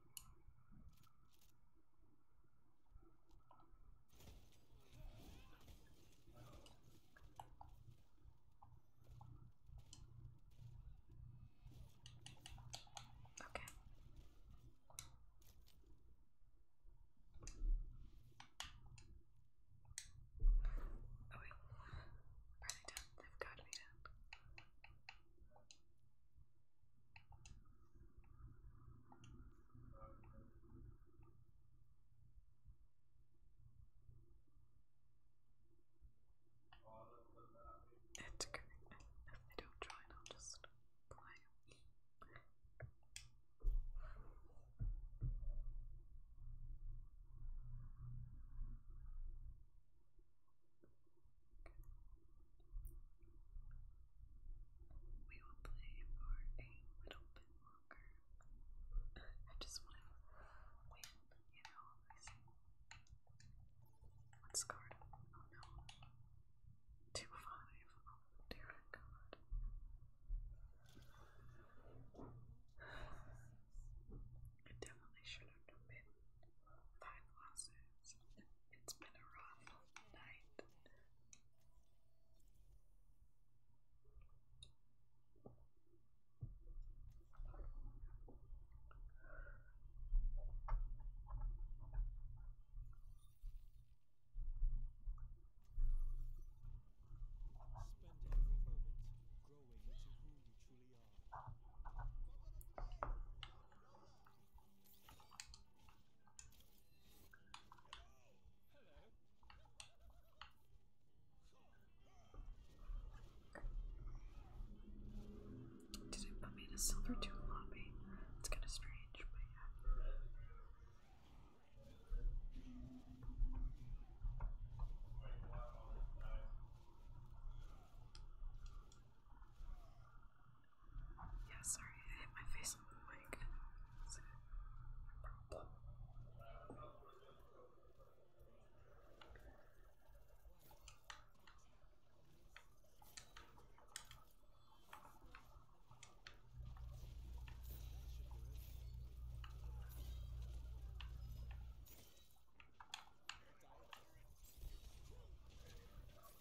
Okay. Oh wait. Are they done? They've got to be done. It's great. If they don't join, I'll just play. We will play for a little bit longer. I just want to wait. you know. I see. What's card? Oh no. 2 5. Oh dear god. I definitely should have done it. It's been a rough night. Spend every moment growing into who you truly are. Did it put me in a silver two lobby? It's kind of strange, but yeah. Yeah, sorry, I hit my face on the mic.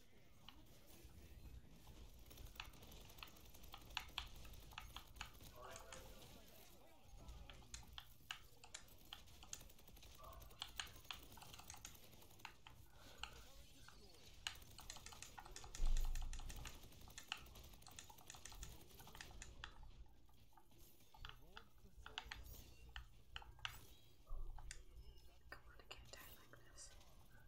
I can't die like this.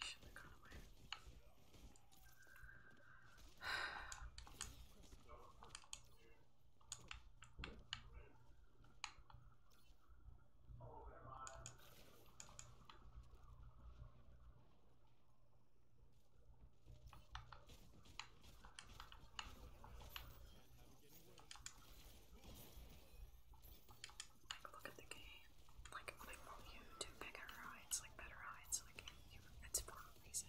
Should have gone away. Look at the game. Like, like more you do bigger rides, like better rides, like you, it's for a reason.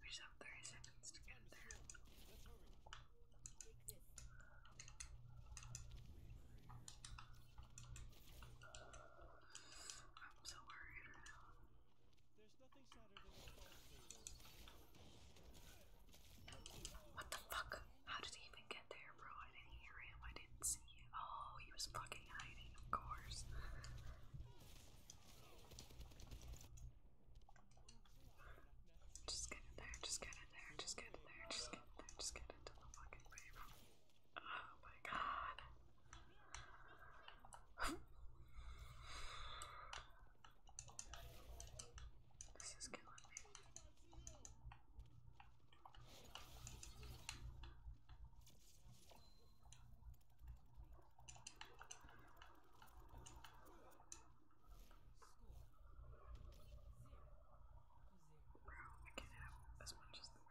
We just have 30 seconds to get there. What the fuck? How did he even get there, bro? I didn't hear him. I didn't see him. Oh, he was fucking hiding, of course. Just get in there, just get in there, just get in there, just get in there, just get into the fucking baby. Oh my god. this is killing me. Bro, I can't have as much as the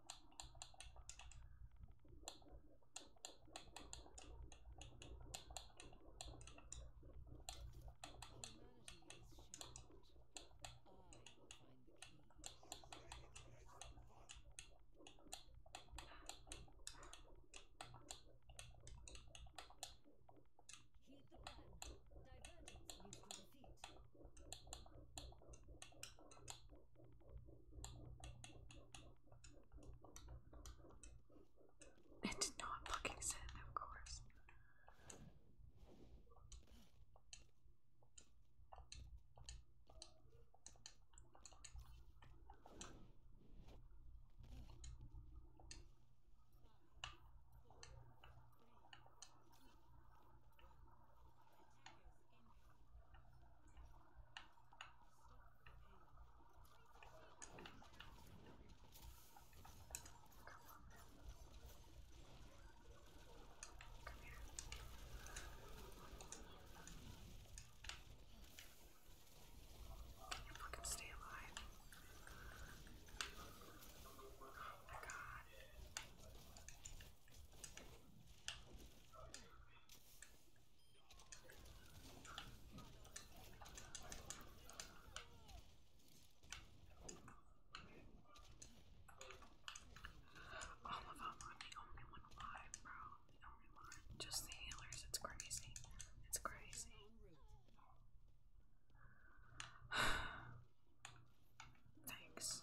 Divergence leads to defeat. It did not fucking sit, of course. If we can stay alive. Oh my god. All of them are the only one alive, bro. Just the healers. It's crazy. It's crazy. Thanks.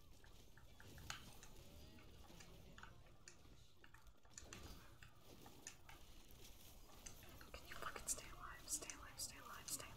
Can you fucking stay alive? Stay alive, stay alive, stay alive.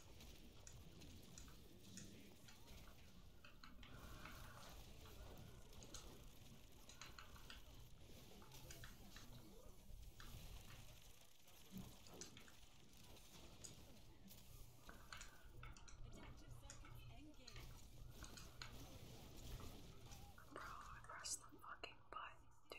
Bro, I pressed the fucking button, dude.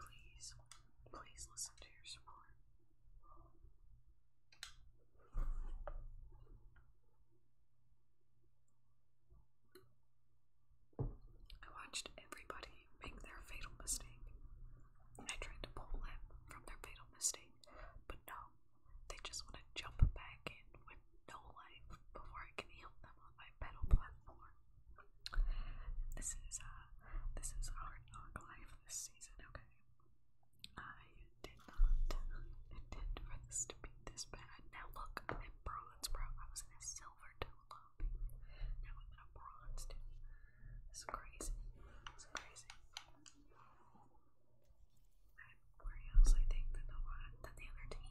Please, please listen to your support. I watched everybody make their fatal mistake. I tried to pull them from their fatal mistake, but no, they just want to jump back in no life before I can heal them on my pedal platform. This is uh this is hard knock life this season, okay? I did not intend for this to be this bad. Now look, I'm in bronze, bro. I was in a silver too long. Now I'm in a bronze too. This is crazy. This is crazy. I'm where else I think than the one than the other team.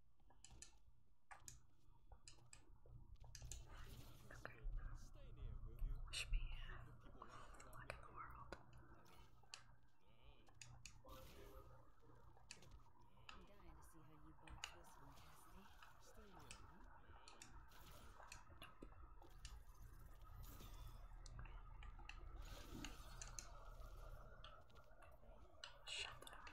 Okay. Wish me all the luck in the world. I'm dying to see how you both this one, Cassidy. Stay here, huh? Shut up.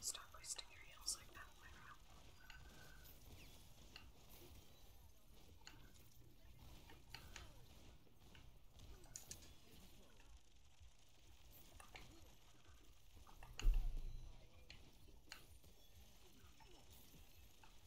Stop wasting your heels like that, my round.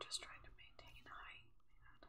Just trying to maintain height, man.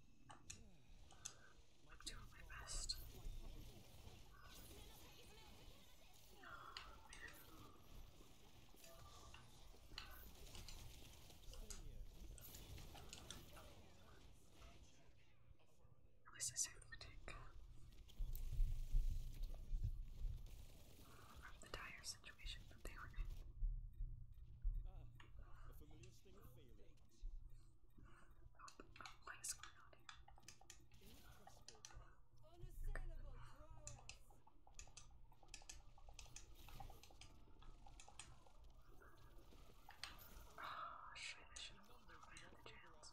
I'm doing my best. Oh, man. At least I the dire situation that they were in disgusting feeling. What is going on here? Unassailable prowess. Oh shit, I should have looked over here the chance.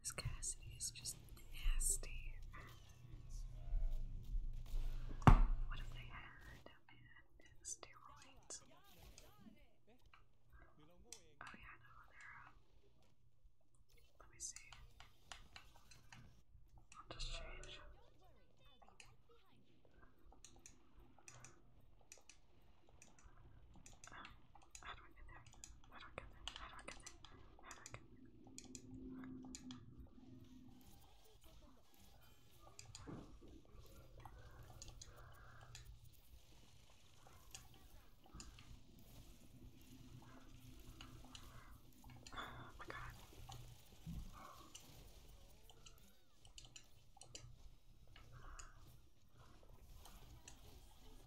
This Cassidy is just nasty. What if they had steroids? Oh yeah, no, they're um, let me see. I'll just change. How do I get there? How do I get there? How do I get there? How do I get there? Oh my god.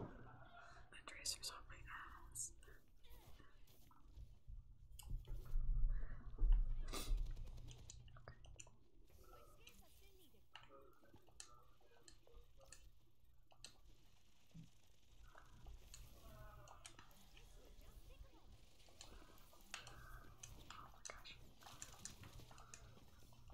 My tracer's on my ass. Oh my gosh.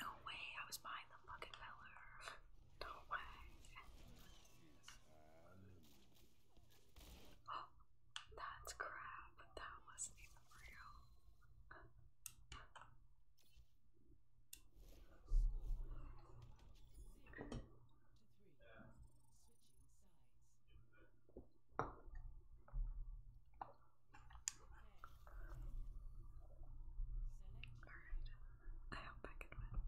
No way, I was behind the fucking feller. No way. Oh, that's crap. That wasn't even real. Alright, I hope I can win.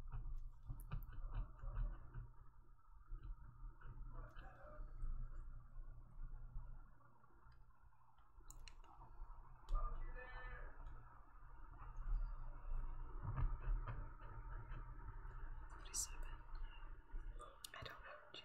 Forty-seven. I don't know.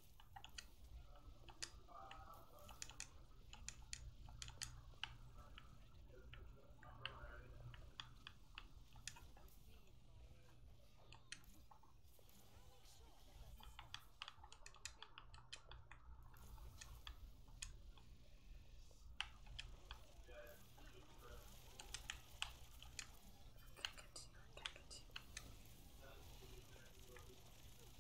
Okay, continue, okay, continue.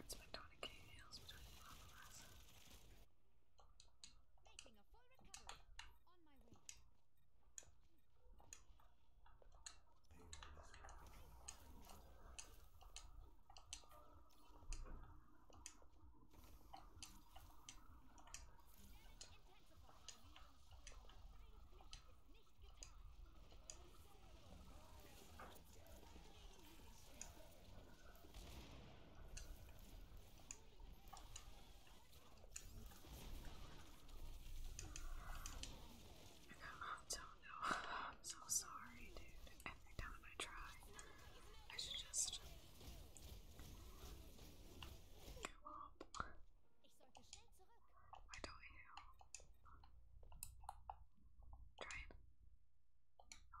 It's Madonna K. Hales between Lava Lassa. Making a full recovery. On my way. Hey, I don't know. I'm so sorry, dude. Every time I try, I should just why don't you try it? No.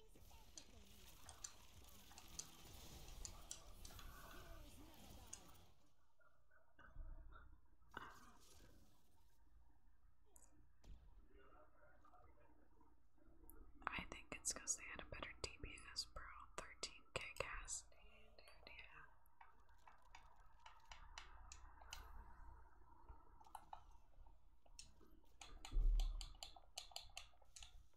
I think it's because they had a better DPS Pro 13k cast. I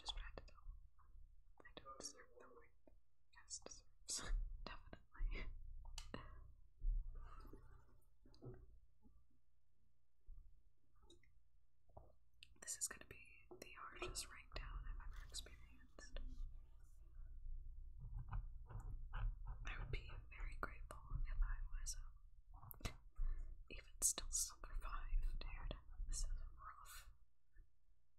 just read it I don't deserve the word. Yes, deserves. Definitely. This is going to be the harshest breakdown I've ever experienced. I would be very grateful if I was um, even still survived, This is rough.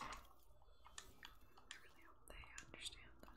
I really hope they understand that.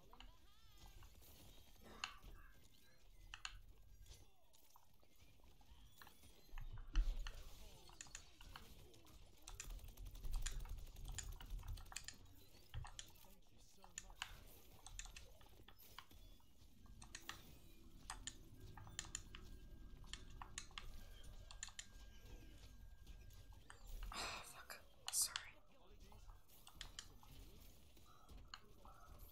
Oh, fuck. Sorry. I do keep the colors, but I don't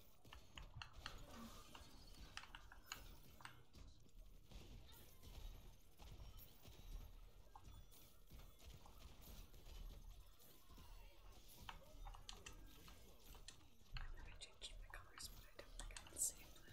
think I can save them.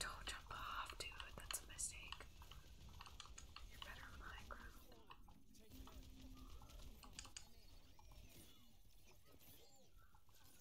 Don't jump off, dude. That's a mistake. You're better on high ground.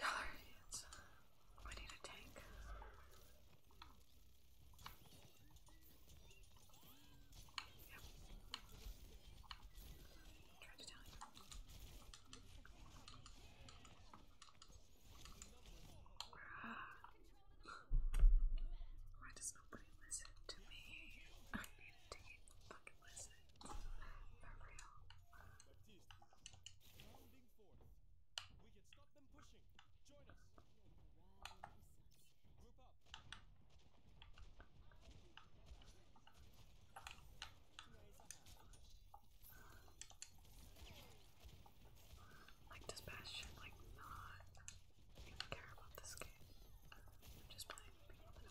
Y'all are idiots. We need a tank. Why does nobody listen to me? I need to fucking listen. For real. Rounding forth. We can stop them pushing. Join us. Group up. Like does like not even care about this game? just playing people that do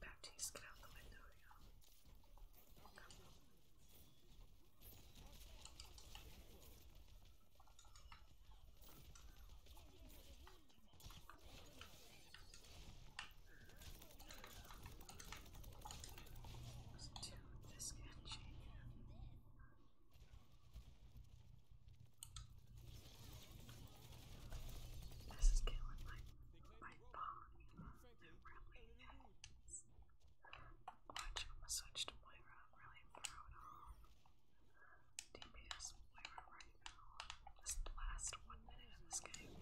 Baptiste, get out the window, y'all. Let's do this and shake. This is killing my my body. It really is. Watching him switch to Moira, I'm really proud of. DPS Moira right now. This last one minute of this game.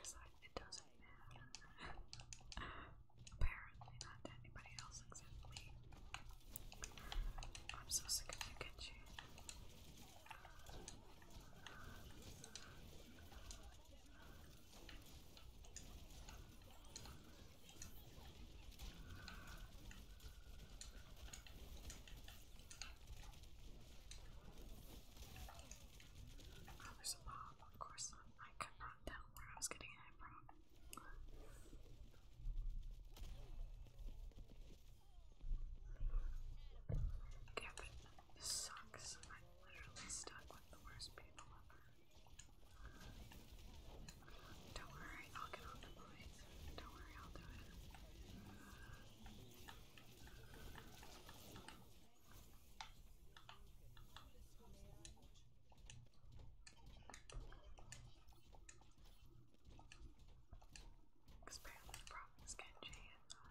Because it doesn't matter. Apparently not to anybody else except me. I'm so sick of you, Kenji. Oh, there's a mob, of course not. I could not tell where I was getting it from. Damn it. sucks. I'm literally stuck with the worst people ever. Don't worry, I'll get on the point. Don't worry, I'll do it. Because apparently the problem usually is uh,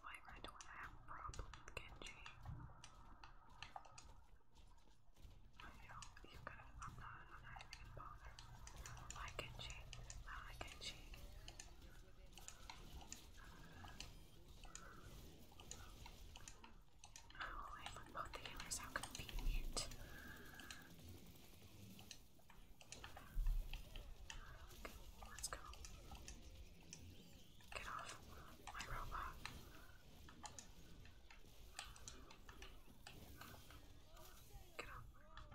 my right when I have with Genji. I know, you got I'm not, I'm not even going like Genji, I do Oh, I put both the healers, how convenient. Okay, let's go. Get off my robot. Get off my robot.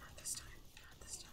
Not this time, not this time.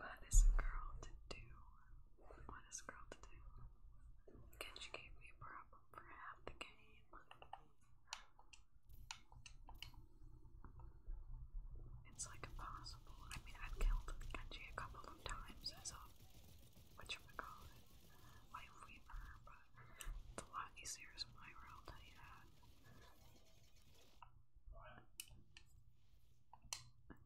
What is a girl to do? What is a girl to do? Again, she gave me a problem for half the game. It's like impossible. I mean, I've killed Genji a couple of times as a whatchamacallit life weaver, but it's a lot easier my world, I tell you that. Okay.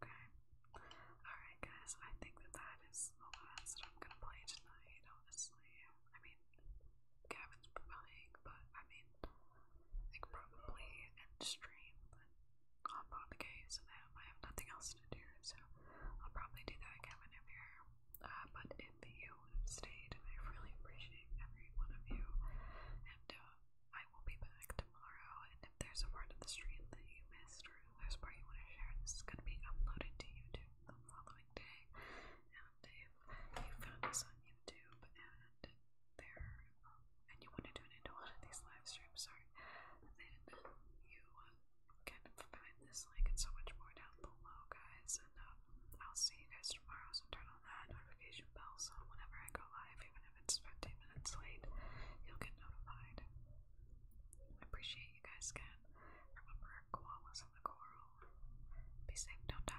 Alright, guys, I think that that is the last that I'm gonna play tonight, honestly. I mean, Gavin's playing, but I mean, I probably end stream, but on the case and I have nothing else to do, so I'll probably do that, Gavin, if you're. Uh, but if you stayed, I really appreciate every one of you, and uh, I will be back tomorrow, and if there's a part of the stream that you missed or there's a part you want to share, this is going to be uploaded to YouTube the following day. And if you found us on YouTube and there, um, and you want to tune into one of these live streams, sorry, then you uh, can find this link and so much more down below, guys. And um, I'll see you guys tomorrow. So turn that notification bell so whenever I go live, even if it's 15 minutes late, you'll get notified. I appreciate you guys Can Remember, koalas in the coral. Be safe, don't die.